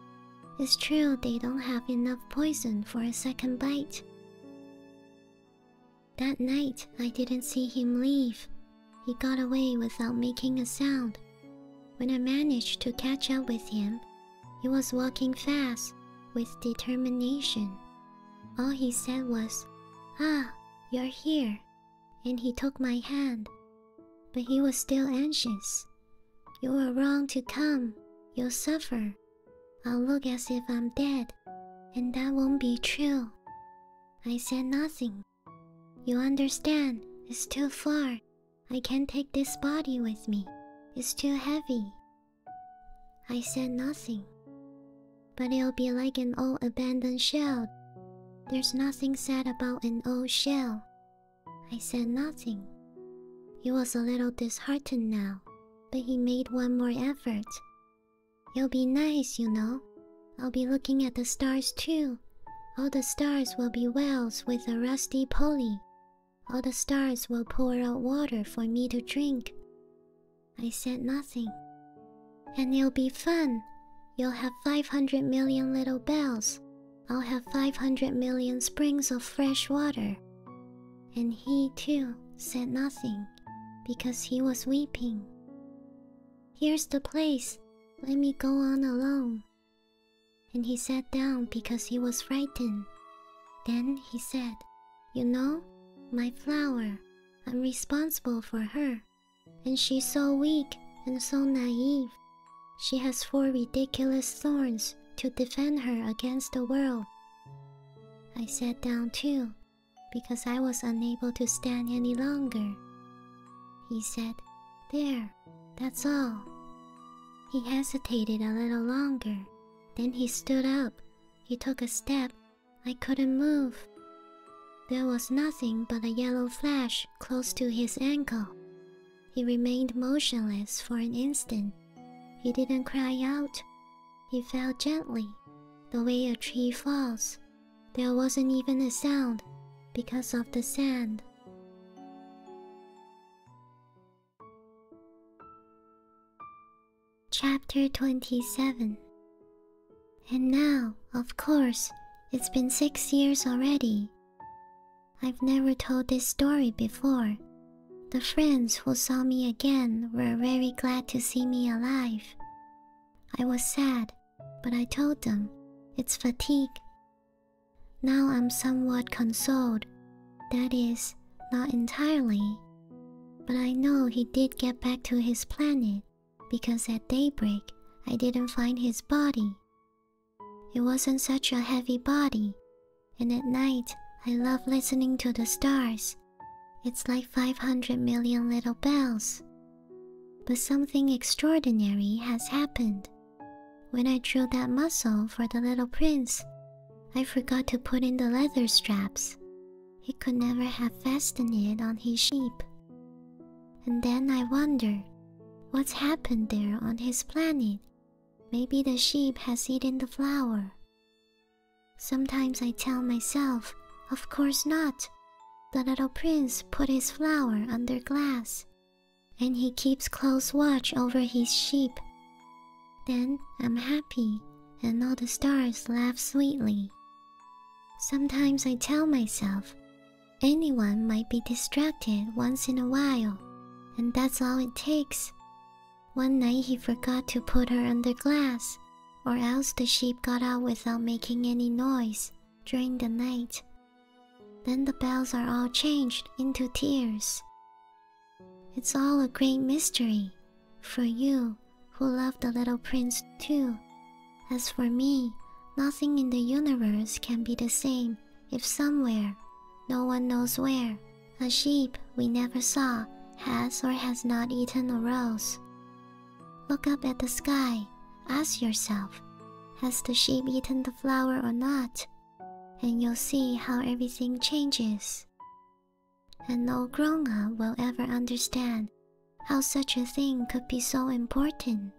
It's true they don't have enough poison for a second bite. That night, I didn't see him leave. He got away without making a sound. When I managed to catch up with him, he was walking fast with determination. All he said was, Ah, you're here, and he took my hand. But he was still anxious. You were wrong to come. You'll suffer. I'll look as if I'm dead, and that won't be true. I said nothing. You understand, it's too far. I can't take this body with me. It's too heavy. I said nothing. But it'll be like an old abandoned shell. There's nothing said about an old shell. I said nothing. He was a little disheartened now, but he made one more effort. You'll be nice, you know. I'll be looking at the stars too. All the stars will be wells with a rusty pulley. All the stars will pour out water for me to drink. I said nothing. And it'll be fun. You'll have 500 million little bells. I'll have 500 million springs of fresh water and he too said nothing because he was weeping. Here's the place, let me go on alone. And he sat down because he was frightened. Then he said, You know, my flower, I'm responsible for her. And she's so weak and so naive. She has four ridiculous thorns to defend her against the world I sat down too, because I was unable to stand any longer. He said, There, that's all. He hesitated a little longer. Then he stood up. He took a step. I couldn't move. There was nothing but a yellow flash close to his ankle. He remained motionless for an instant. He didn't cry out. He fell gently, the way a tree falls. There wasn't even a sound because of the sand. Chapter 27 And now, of course, it's been six years already. I've never told this story before, the friends who saw me again were very glad to see me alive. I was sad, but I told them it's fatigue. Now I'm somewhat consoled, that is, not entirely. But I know he did get back to his planet because at daybreak I didn't find his body. It wasn't such a heavy body, and at night, I love listening to the stars. It's like 500 million little bells. But something extraordinary has happened. When I drew that muscle for the little prince, I forgot to put in the leather straps. He could never have fastened it on his sheep. And then I wonder what's happened there on his planet. Maybe the sheep has eaten the flower. Sometimes I tell myself, of course not. The little prince put his flower under glass, and he keeps close watch over his sheep. Then I'm happy, and all the stars laugh sweetly. Sometimes I tell myself, anyone might be distracted once in a while, and that's all it takes. One night he forgot to put her under glass, or else the sheep got out without making any noise during the night. Then the bells are all changed into tears. It's all a great mystery for you who love the little prince too. As for me, nothing in the universe can be the same if somewhere, no one knows where, a sheep we never saw has or has not eaten a rose. Look up at the sky, ask yourself, has the sheep eaten the flower or not? And you'll see how everything changes. And no grown will ever understand how such a thing could be so important.